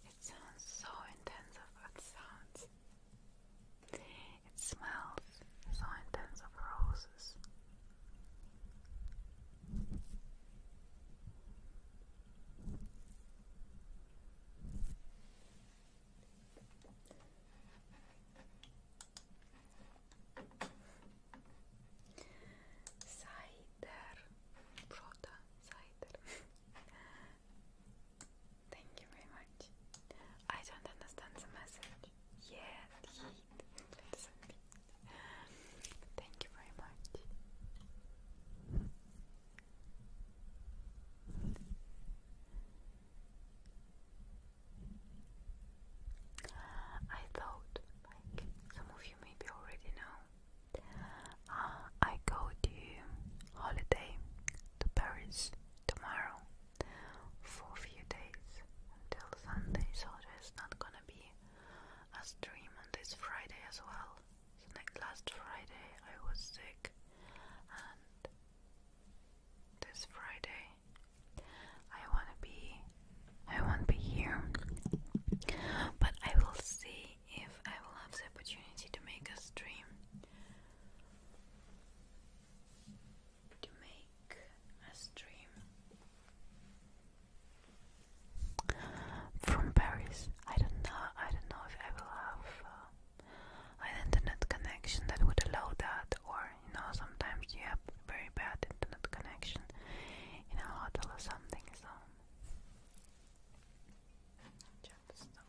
It sounds so intense of what sounds. It smells so intense of roses. Cider, Prota, cider. [LAUGHS] Thank you very much. I don't understand the message. Yeah, let Thank you very much. I thought, like some of you maybe already know, uh, I go to holiday to Paris tomorrow for a few days until Sunday, so there's not gonna be a stream on this Friday as well. So next last Friday I was sick and this Friday I wanna be I won't be here but I will see if I will have the opportunity to make a stream to make a stream from Paris. I don't know. I don't know if I will have uh, an internet connection that would allow that, or or you know sometimes you have very bad internet connection in a hotel or something so just stop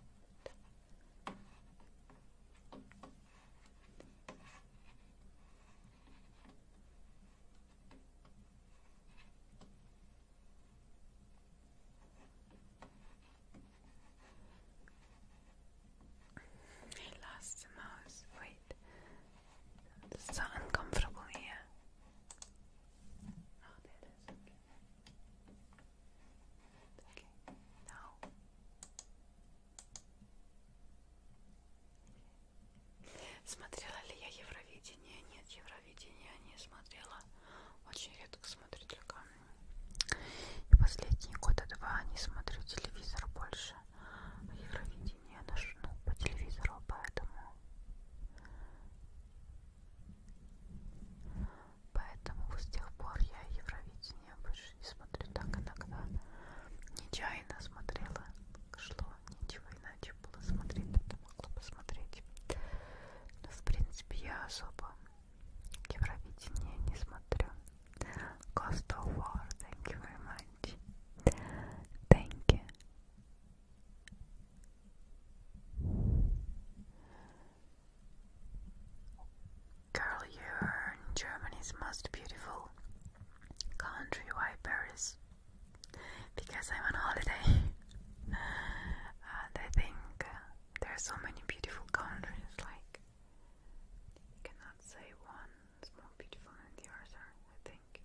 He lost the mouse. Wait. It's so uncomfortable here. Oh, there it is. Okay. Okay, now. Смотрела ли я Евровидение? Нет, Евровидение не смотрела. Очень редко смотрю только. И последние года два не смотрю телевизор больше. Евровидение наш, ну, по телевизору, поэтому поэтому с тех пор я Евровидение больше не смотрю так иногда нечаянно смотрела шло, ничего иначе было смотреть, это могла посмотреть но в принципе я особо Евровидение не смотрю Cost of War, thank you very much. Thank you. Girl, you're Germany's most beautiful country. Why Paris? Because I'm on holiday. [LAUGHS] and I think uh, there are so many beautiful countries, like, you cannot say one. It's more beautiful than the other, I think.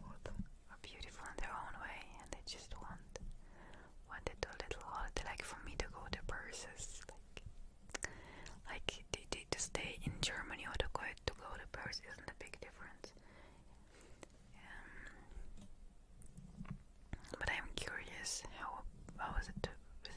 Both are beautiful in their own way, and they just want wanted a little holiday, like for me to go to Paris, like like they, they, to stay in Germany or to go to go to Paris isn't a big difference. Um, but I'm curious how how is it with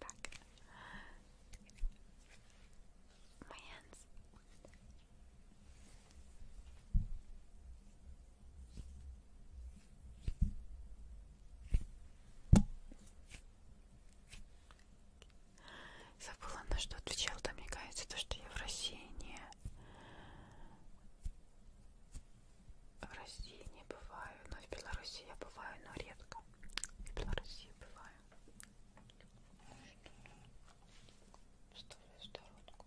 Back. My hands. Забыла, на что отвечал, да, мне кажется, то, что я в России не... В России не бываю, но ну, в Беларуси я бываю, но редко. В Беларуси бываю. Вставляю сторонку.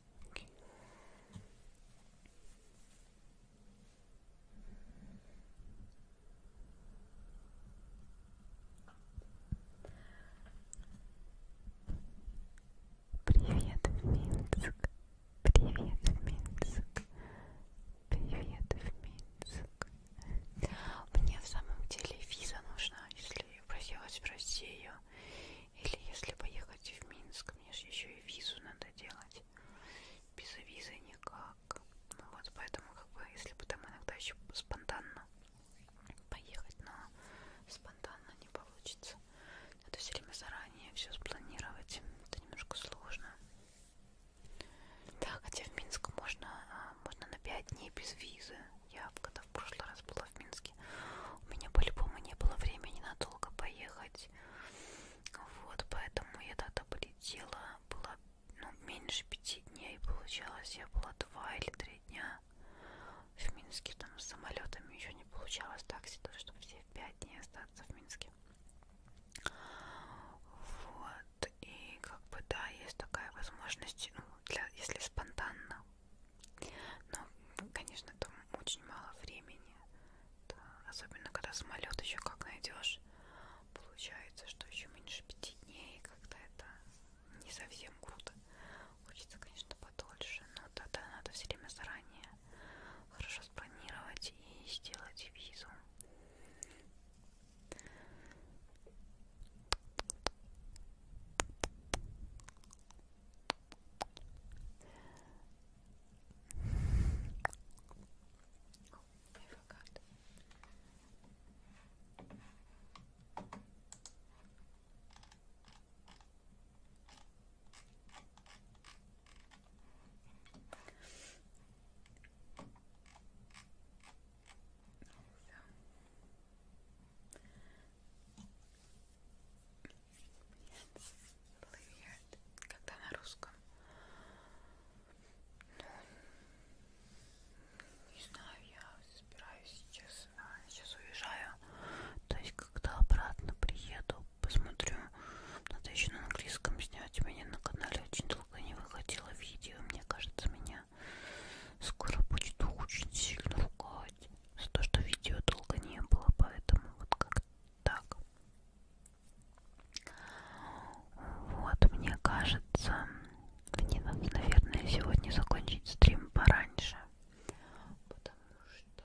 Okay. Привет, в Минск. Привет, в Минск. Привет, в Минск. Мне в самом деле виза нужна, если я просилась в Россию. Или если поехать в Минск, мне же еще и визу надо делать. Без визы никак. Ну вот поэтому, как бы, если бы там иногда еще спонтанно поехать, но спонтанно не получится. Это все время заранее все спланировать. Это немножко сложно. Да, хотя в Минск можно, а, можно на 5 дней без визы. Я когда в прошлый раз была в Минске, у меня по-любому не было времени надолго поехать. Вот, поэтому я тогда полетела, было ну, меньше пяти дней, получалось, я была два или три дня в Минске, там с самолетами еще не получалось такси, тоже, чтобы все в пять дней остаться в Минске. Вот, и как бы, да, есть такая возможность, ну, для, если спонтанно, но, конечно, там очень мало времени, да, особенно когда самолет еще как найдешь, получается, что еще меньше пяти дней, когда это не совсем круто. Хочется, конечно, подольше, но тогда надо все время заранее хорошо спланировать и сделать визу. Oh, I forgot. Плывет. Когда на русском. Ну, не знаю, я собираюсь сейчас. Сейчас уезжаю. То есть, когда обратно приеду, посмотрю. Надо еще на английском снять. У меня на канале очень долго не выходило видео. Мне кажется, меня скоро будет очень сильно ругать. За то, что видео долго не было, поэтому вот как так. Вот, мне кажется, мне надо, наверное, сегодня закончить стрим пораньше, потому что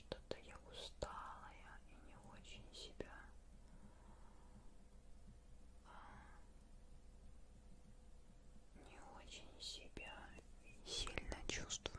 что-то я устала я и не очень себя а, не очень себя сильно чувствую.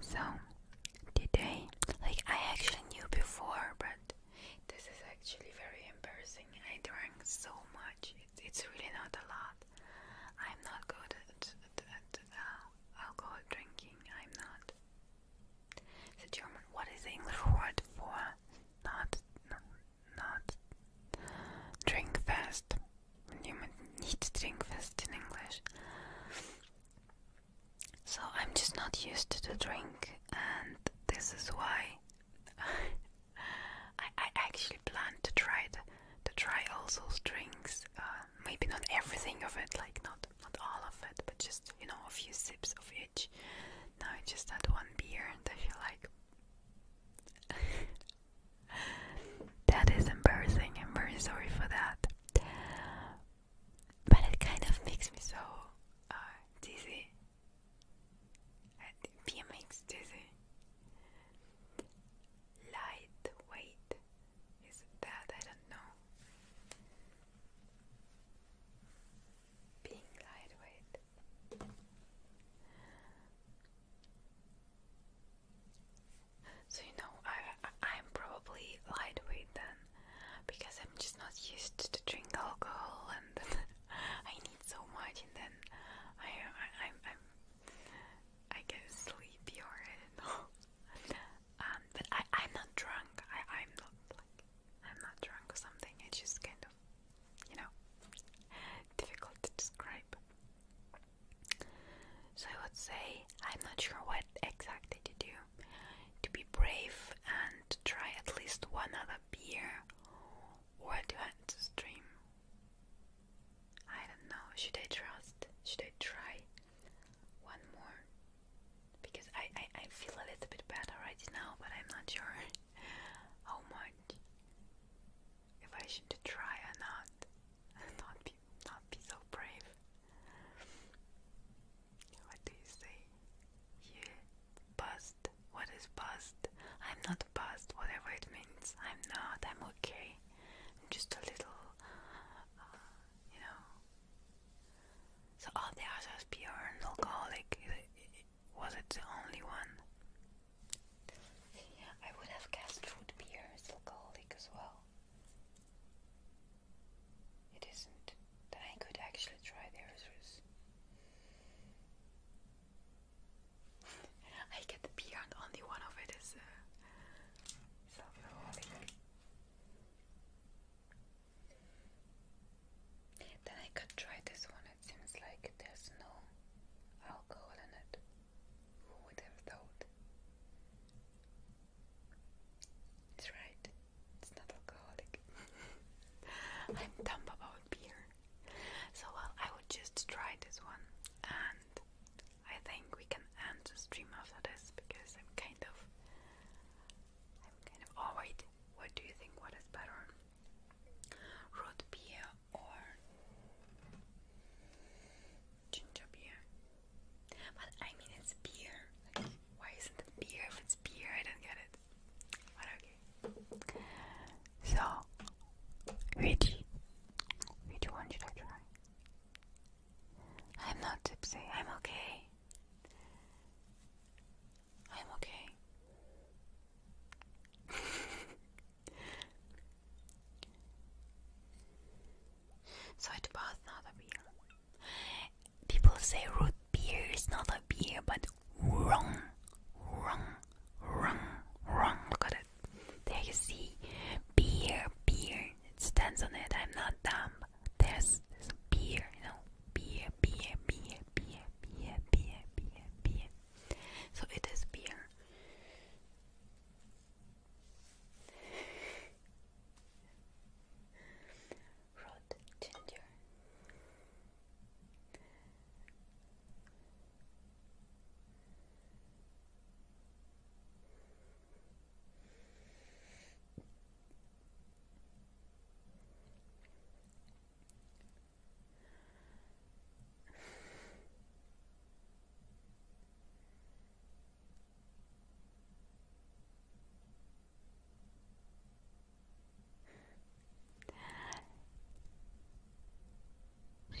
So today, like I actually knew before, but this is actually very embarrassing. I drank so much; it's, really not a lot. I'm not good at, at, at uh, alcohol drinking. I'm not. The German. What is the English word for not not, not drink fast? You might need drink fast in English. So I'm just not used to drink, and this is why [LAUGHS] I, actually plan to try to, try all those drinks. Uh, maybe not everything of it, like not not all of it, but just you know a few sips of each. Now I just had one beer, and I feel like [LAUGHS] that is embarrassing. I'm very sorry for that but it kind of makes me so uh, dizzy. PMX dizzy. Lightweight is that I don't know. Being lightweight. So you know, I, I am probably lightweight then, because I'm just not used to drink alcohol, and [LAUGHS] I need so much, and then I I I'm, I'm I get sleepy or I don't know. [LAUGHS] Um, but I I'm not drunk. I I'm not like I'm not drunk or something. It's just kind of you know difficult to describe. So I would say I'm not sure what exactly to do. To be brave and try at least one other beer or to end the stream. I don't know. Should I trust? Should I try one more? Because I, I, I feel a little bit better right now, but I'm not sure [LAUGHS] how much. If I should try or not, [LAUGHS] not be not be so brave. What do you say? You bust. What is bust? I'm not bust, whatever it means. I'm not. I'm okay. just a little, uh, you know. So all oh, the others pure and alcoholic. Was it the only one? I would have guessed root beer is alcoholic as well. It isn't. that I could actually try theirs. [LAUGHS] I get the beyond only one of it is uh, self-revolving. Then I could try this one. It seems like there's no alcohol in it. Who would have thought? It's right. It's not alcoholic. [LAUGHS] I'm dumb about beer. So well, I would just try this one, and I think we can end the stream after this because I'm kind of, I'm kind of. Oh wait, what do you think? What is better, root beer or ginger beer. But I mean, it's beer. why isn't it beer if it's beer? I don't get it. But okay. So, which which one should I try? I'm not tipsy. I'm okay. I'm okay. [LAUGHS] so it was not a beer. People say root beer is not a beer, but wrong, wrong, wrong, wrong. Look at it. There you see, beer, beer. It stands on it. I'm not dumb. There's, there's beer, you know, beer, beer, beer, beer, beer, beer, beer, beer. So it is beer. Rod ginger.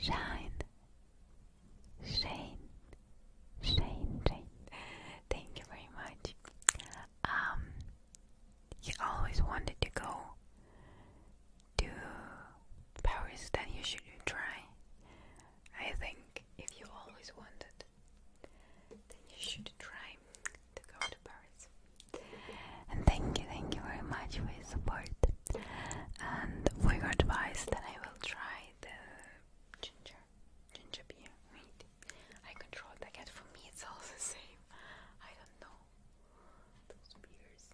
Shine, shine, shine, shine. Thank you very much. Um, you always wanted to go to Paris, then you should try. I think if you always wanted then you should try to go to Paris. thank you, thank you very much for your support and for your advice. Then I will try the ginger, ginger beer. Wait, I control the cat. For me, it's all [LAUGHS] the same. I don't know those beers.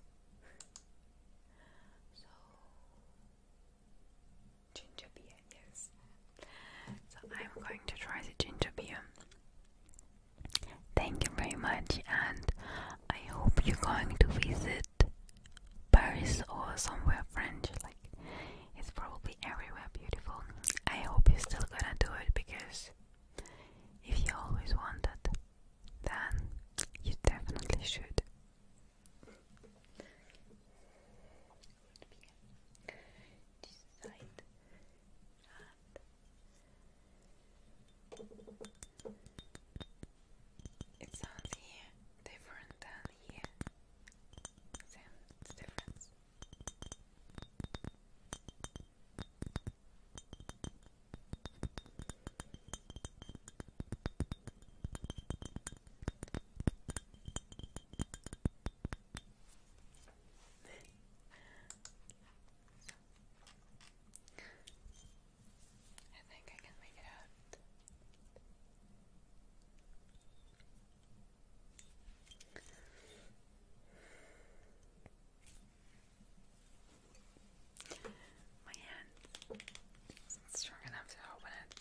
[LAUGHS] So Ginger beer, yes. So I'm going to try the ginger beer. Thank you very much, and I hope you're going to visit Paris or somewhere French. Like it's probably everywhere beautiful. I hope you're still gonna do it because if you always want wanted, then you definitely should this side and it sounds different than here. Then difference. I think I can make it out. My hand is strong enough to open it.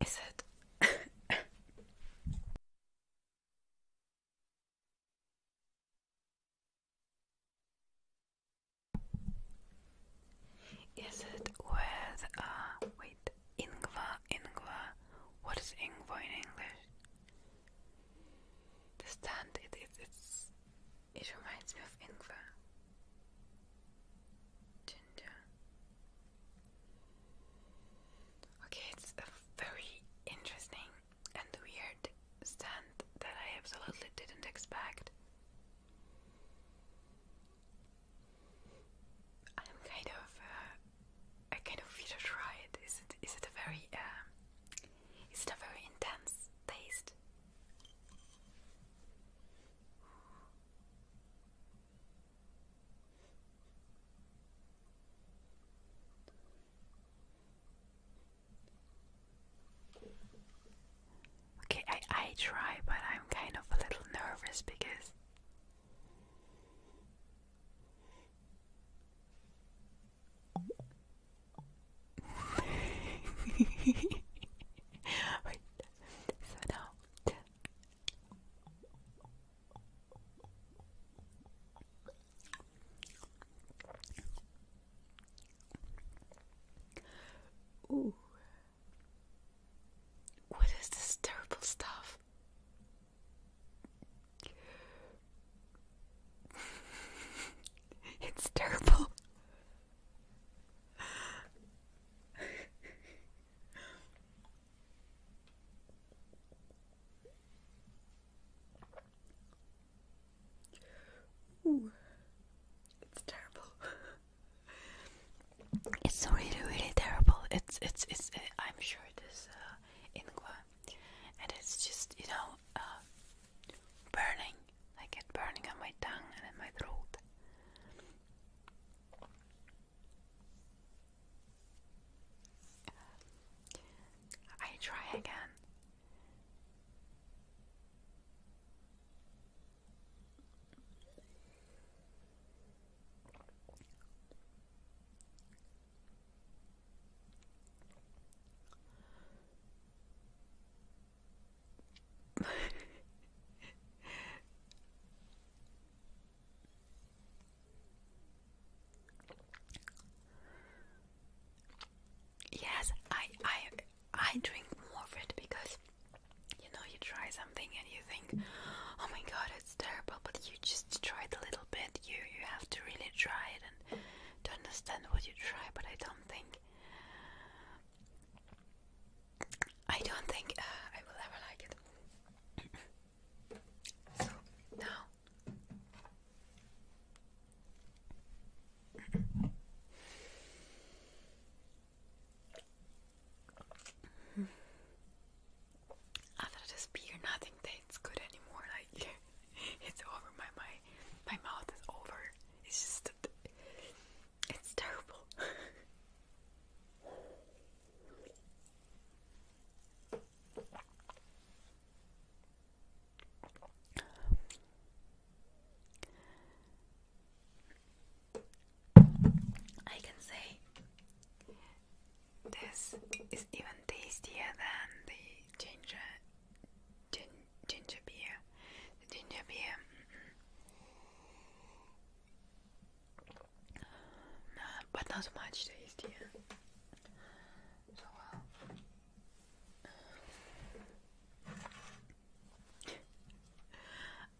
Is it? Is it with uh wait ingwa ingwa? What is ingwa in English? The it's it reminds me of Ingwer, ginger. Okay, it's a very interesting and weird scent that I absolutely didn't expect. I'm kind of, uh, I kind of feel to try it. Is it, is it a very, uh, is it a very intense taste? Okay, I, I try, but I'm kind of a little nervous because [LAUGHS] So now Ooh. What is this terrible stuff? [LAUGHS] it's terrible it's terrible. [LAUGHS] it's really, really terrible. It's, it's, it's. Uh, I'm sure it is uh, and it's just, you know, uh, burning I get burning on my tongue and in my throat. I try again yes, I I I drink more of it because you know you try something and you think, oh my god, it's terrible, but you just try a little bit. You you have to really try it and to understand what you try. But I don't think I don't think uh, I will ever like it. so now. After this beer, nothing tastes good anymore. Like [LAUGHS] it's over. My my my mouth is over. It's just it's terrible. I can say this is even tastier than the ginger ginger beer. ginger beer mm-hmm. Nah, but not much tastier.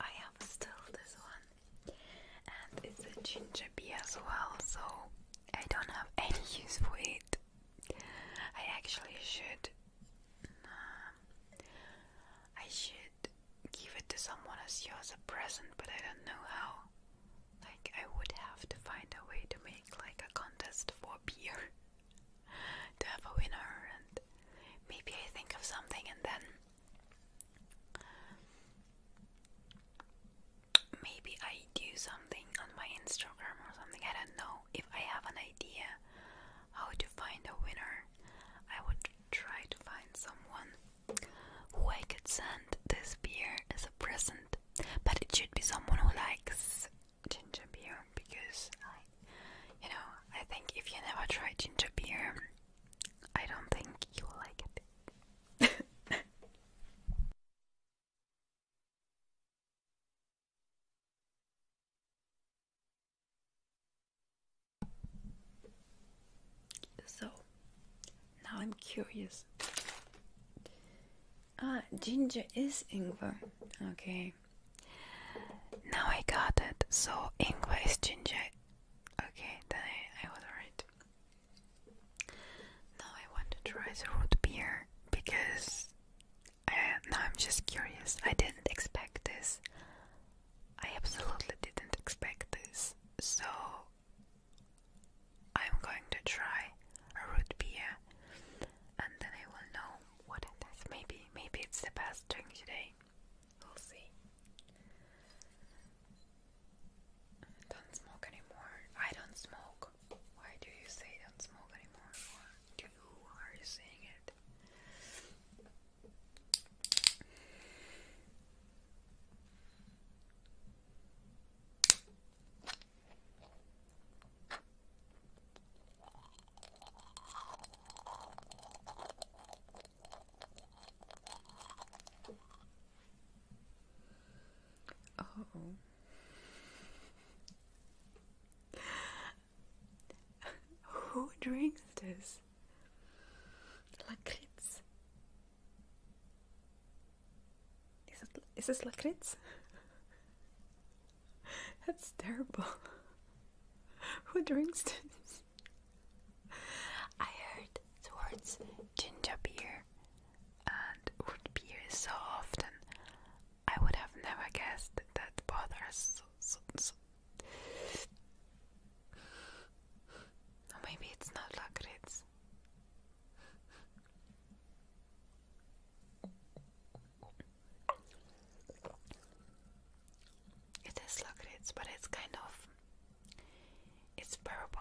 I have still this one, and it's a ginger beer as well, so I don't have any use for it. I actually should. I should give it to someone as yours a present, but I don't know how. Like, I would have to find a way to make like a contest for beer [LAUGHS] to have a winner, and maybe I think of something and then. Maybe I do something on my Instagram or something. I don't know. If I have an idea how to find a winner, I would try to find someone who I could send this beer as a present. But it should be someone who likes ginger beer because I, you know, I think if you never try ginger beer, I don't think you will like it. So now I'm curious. Ah, ginger is ingwer. Okay. Now I got it. So ingwer is ginger. Okay, then I, was right. Now I want to try the root beer because I, uh, now I'm just curious. I didn't expect this. I absolutely didn't expect this, so I'm going to try a root beer and then I will know what it is. Maybe, maybe it's the best drink today. We'll see. Don't smoke anymore. I don't smoke. Why do you say don't smoke anymore? Or are you saying it? Oh. [LAUGHS] Who drinks this? Lakrits. Is it is this lakrits? [LAUGHS] That's terrible. [LAUGHS] Who drinks this? I heard the words ginger beer and wood beer so often. I would have never guessed that bothers so, so, so, or maybe it's not lakrits. It is lakrits, but it's kind of it's purple.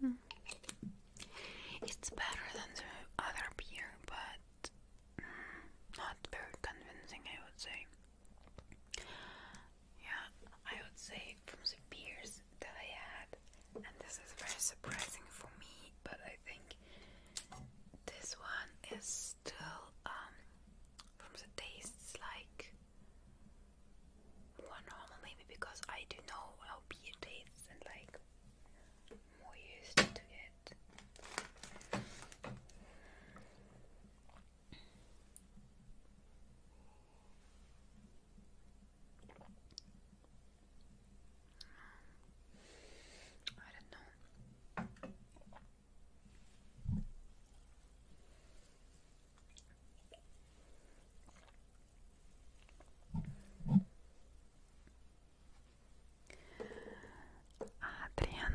Hmm. It's better than the other beer, but hmm, not very convincing, I would say. Yeah, I would say from the beers that I had, and this is very surprising for me, but I think this one is still, um, from the tastes like more normal maybe because I do know how beer tastes and like more used to it. I don't know. Adrian,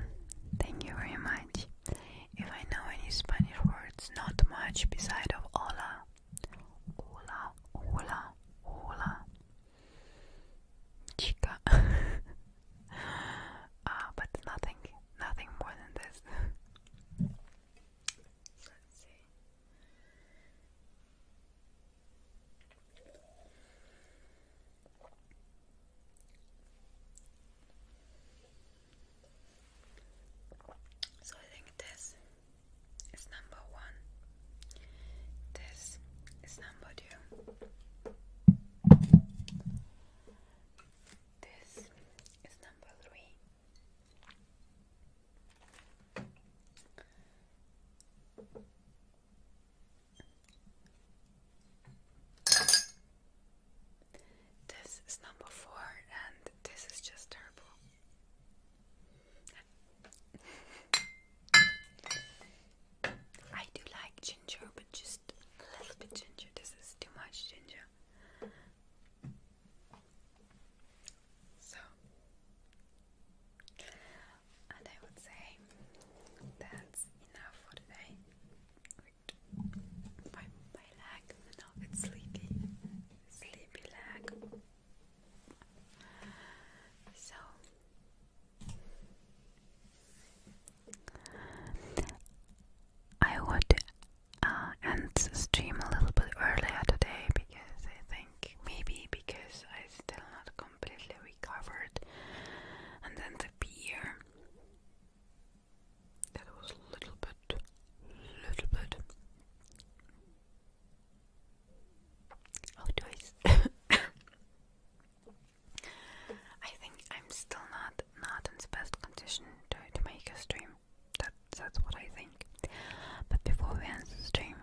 thank you very much. If I know any Spanish words, not much beside of hola. Hola, hola, hola. Chica. [LAUGHS] ah, but nothing, nothing more than this. [LAUGHS] Let's see. So I think this is number one. This is number two. This is number three. This is number four, and this is just terrible. I do like ginger, but just a little bit ginger. This is too much ginger. So, and I would say that's enough for today. Wait, my, my leg, no, it's sleepy, sleepy leg. So, I would uh, end the stream a little bit earlier today because I think maybe because I still not completely recovered, and then the beer that was a little bit, little bit. How do I? I think I'm still not not in the best condition to, to make a stream. That that's what I think. But before we end the stream,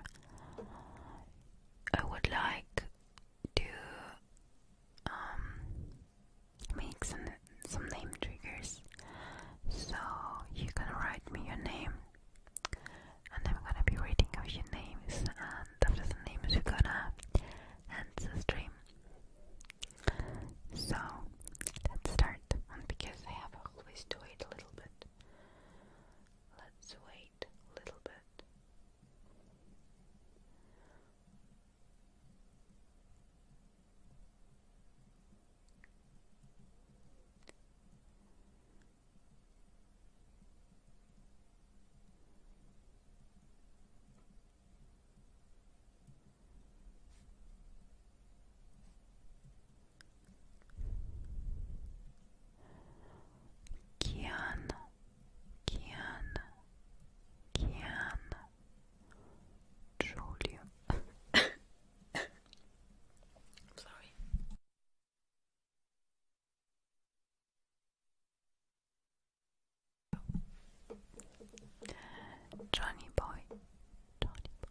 I would like to um, some name triggers. So you can write me your name, and I'm gonna be reading out your names, and after the names, we gonna end the stream. So let's start, because I have always to wait a little bit, Let's wait a little bit. Kian, Kian, Kian, Julia. [COUGHS] Johnny boy, Johnny boy.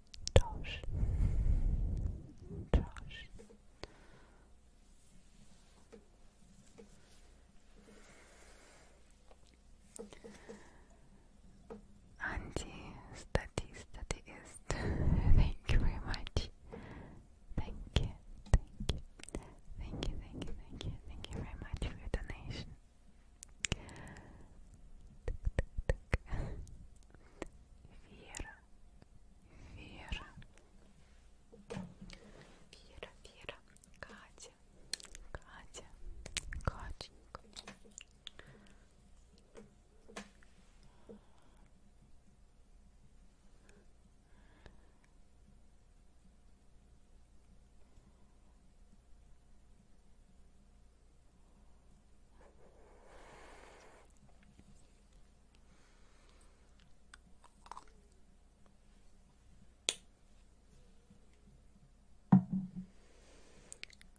Josh, Josh. Anti Stati thank you very much. Thank you, thank you, thank you, thank you, thank you, thank you very much for your donation. Так, так, так. Вера, Вера, Вера, Вера, Катя, Катя, Катенька. Вера,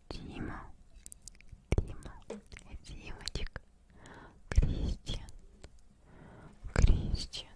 Дима, Дима, Димочек, Кристиан, Кристиан.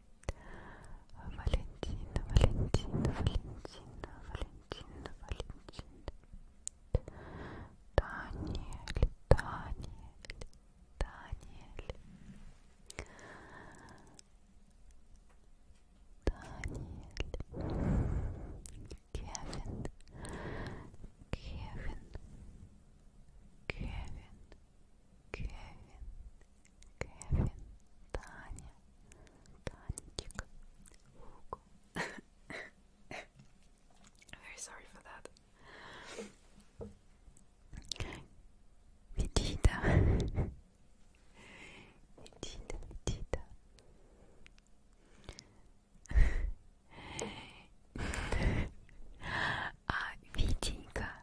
Valentina, Valentina, Valentina, Valentina, Valentina. Daniel, Daniel, Daniel. Daniel. Kevin, Kevin, Kevin, Kevin, Кевин, Таня, Танечка, Фуку. Very sorry for that. Vegeta. Vegeta, Vegeta. А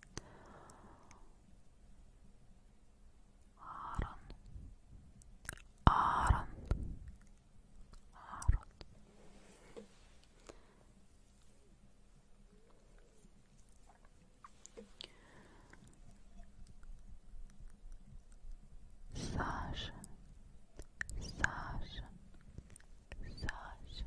Аарон, Аарон, Аарон. Саша, Саша, Саша.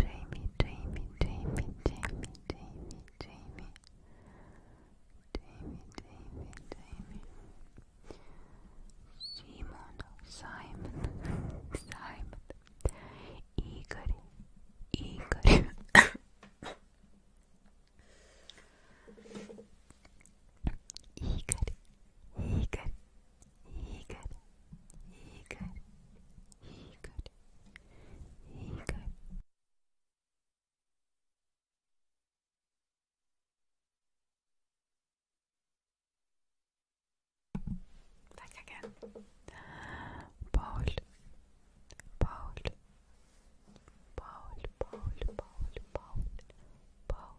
Jamie, Jamie, Jamie, Jamie, Jamie, Jamie. Jamie, Jamie, Jamie. Simon, Simon, Simon. Igor, Igor. Igor, Igor, Igor, Igor, Igor. Here you go. Back again. Bowl, bowl, bowl, bowl, bowl, bowl, bowl.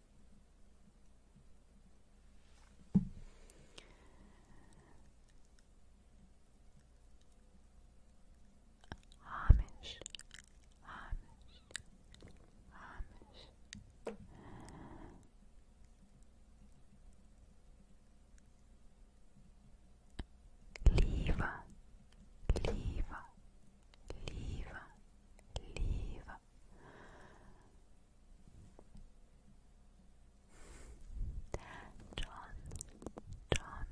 Amish, Amish, Amish. Lever, lever, lever, lever, John, John,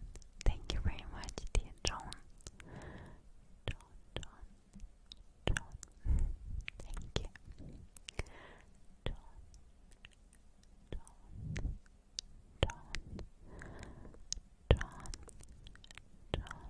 thank you very much, dear John. John, John, John, thank you. John, John, John, John, John,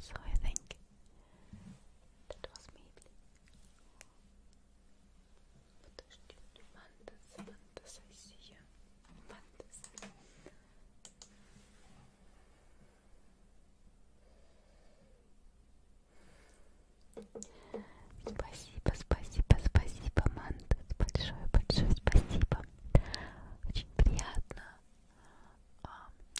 So I think that was maybe but Mantis, Mantis, I see you. Mantis. Спасибо, спасибо, спасибо, Мантас. Большое, большое спасибо. Очень приятно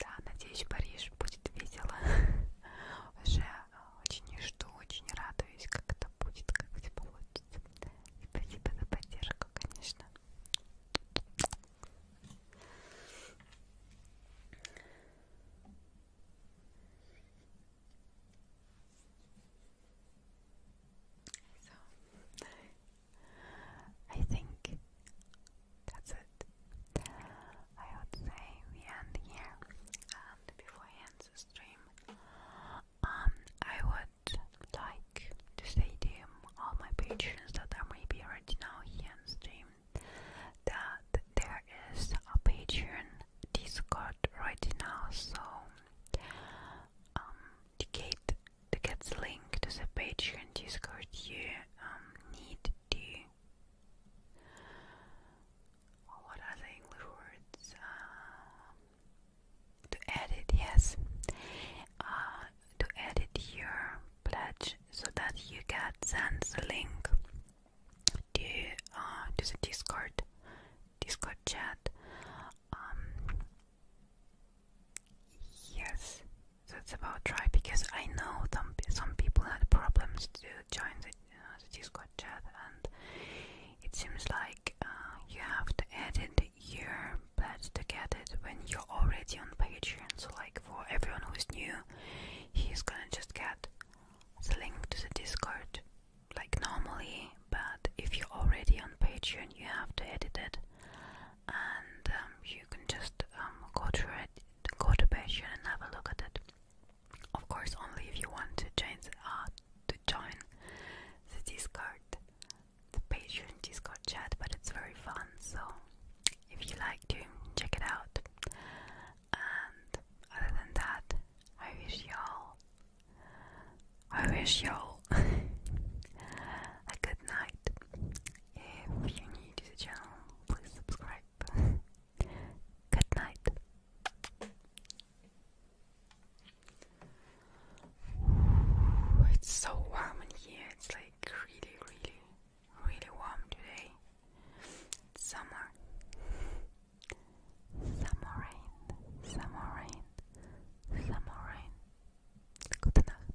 Да, надеюсь, Париж будет весело. [LAUGHS] Уже а, очень жду, очень радуюсь, как это будет, как все получится. И спасибо за поддержку, конечно. So, I think that's it. I would say we end here. And before end the stream, um, I would like to say to all my patrons that are maybe already now here stream that there is a Patreon Discord right now, so um, Kate to get the link to the Patreon Discord, you um, need to. What are English words? Uh, to edit, yes. Uh, to edit your pledge so that you get sent the link to uh, to the Discord, Discord chat. Um, Yes, that's about right. Because I know some some people had problems to join the, uh, Discord chat, and it seems like uh, you have to edit your pledge to get it when you're already on Patreon. So, like for everyone who's new, he's gonna just get the link to the Discord like normally. But if you're already on Patreon, you have to edit it and um, you can just um, go through it, go to Patreon and have a look at it. Of course, only if you want to join the, art, to join the Discord, the Patreon Discord chat. But it's very fun, so if you like to check it out. And other than that, I wish y'all, I wish y'all [LAUGHS] a good night. If you're new channel, please subscribe. Good night. it's so warm in here. It's like really, really, really warm today. summer. Summer rain. Summer rain. Summer rain. Good night.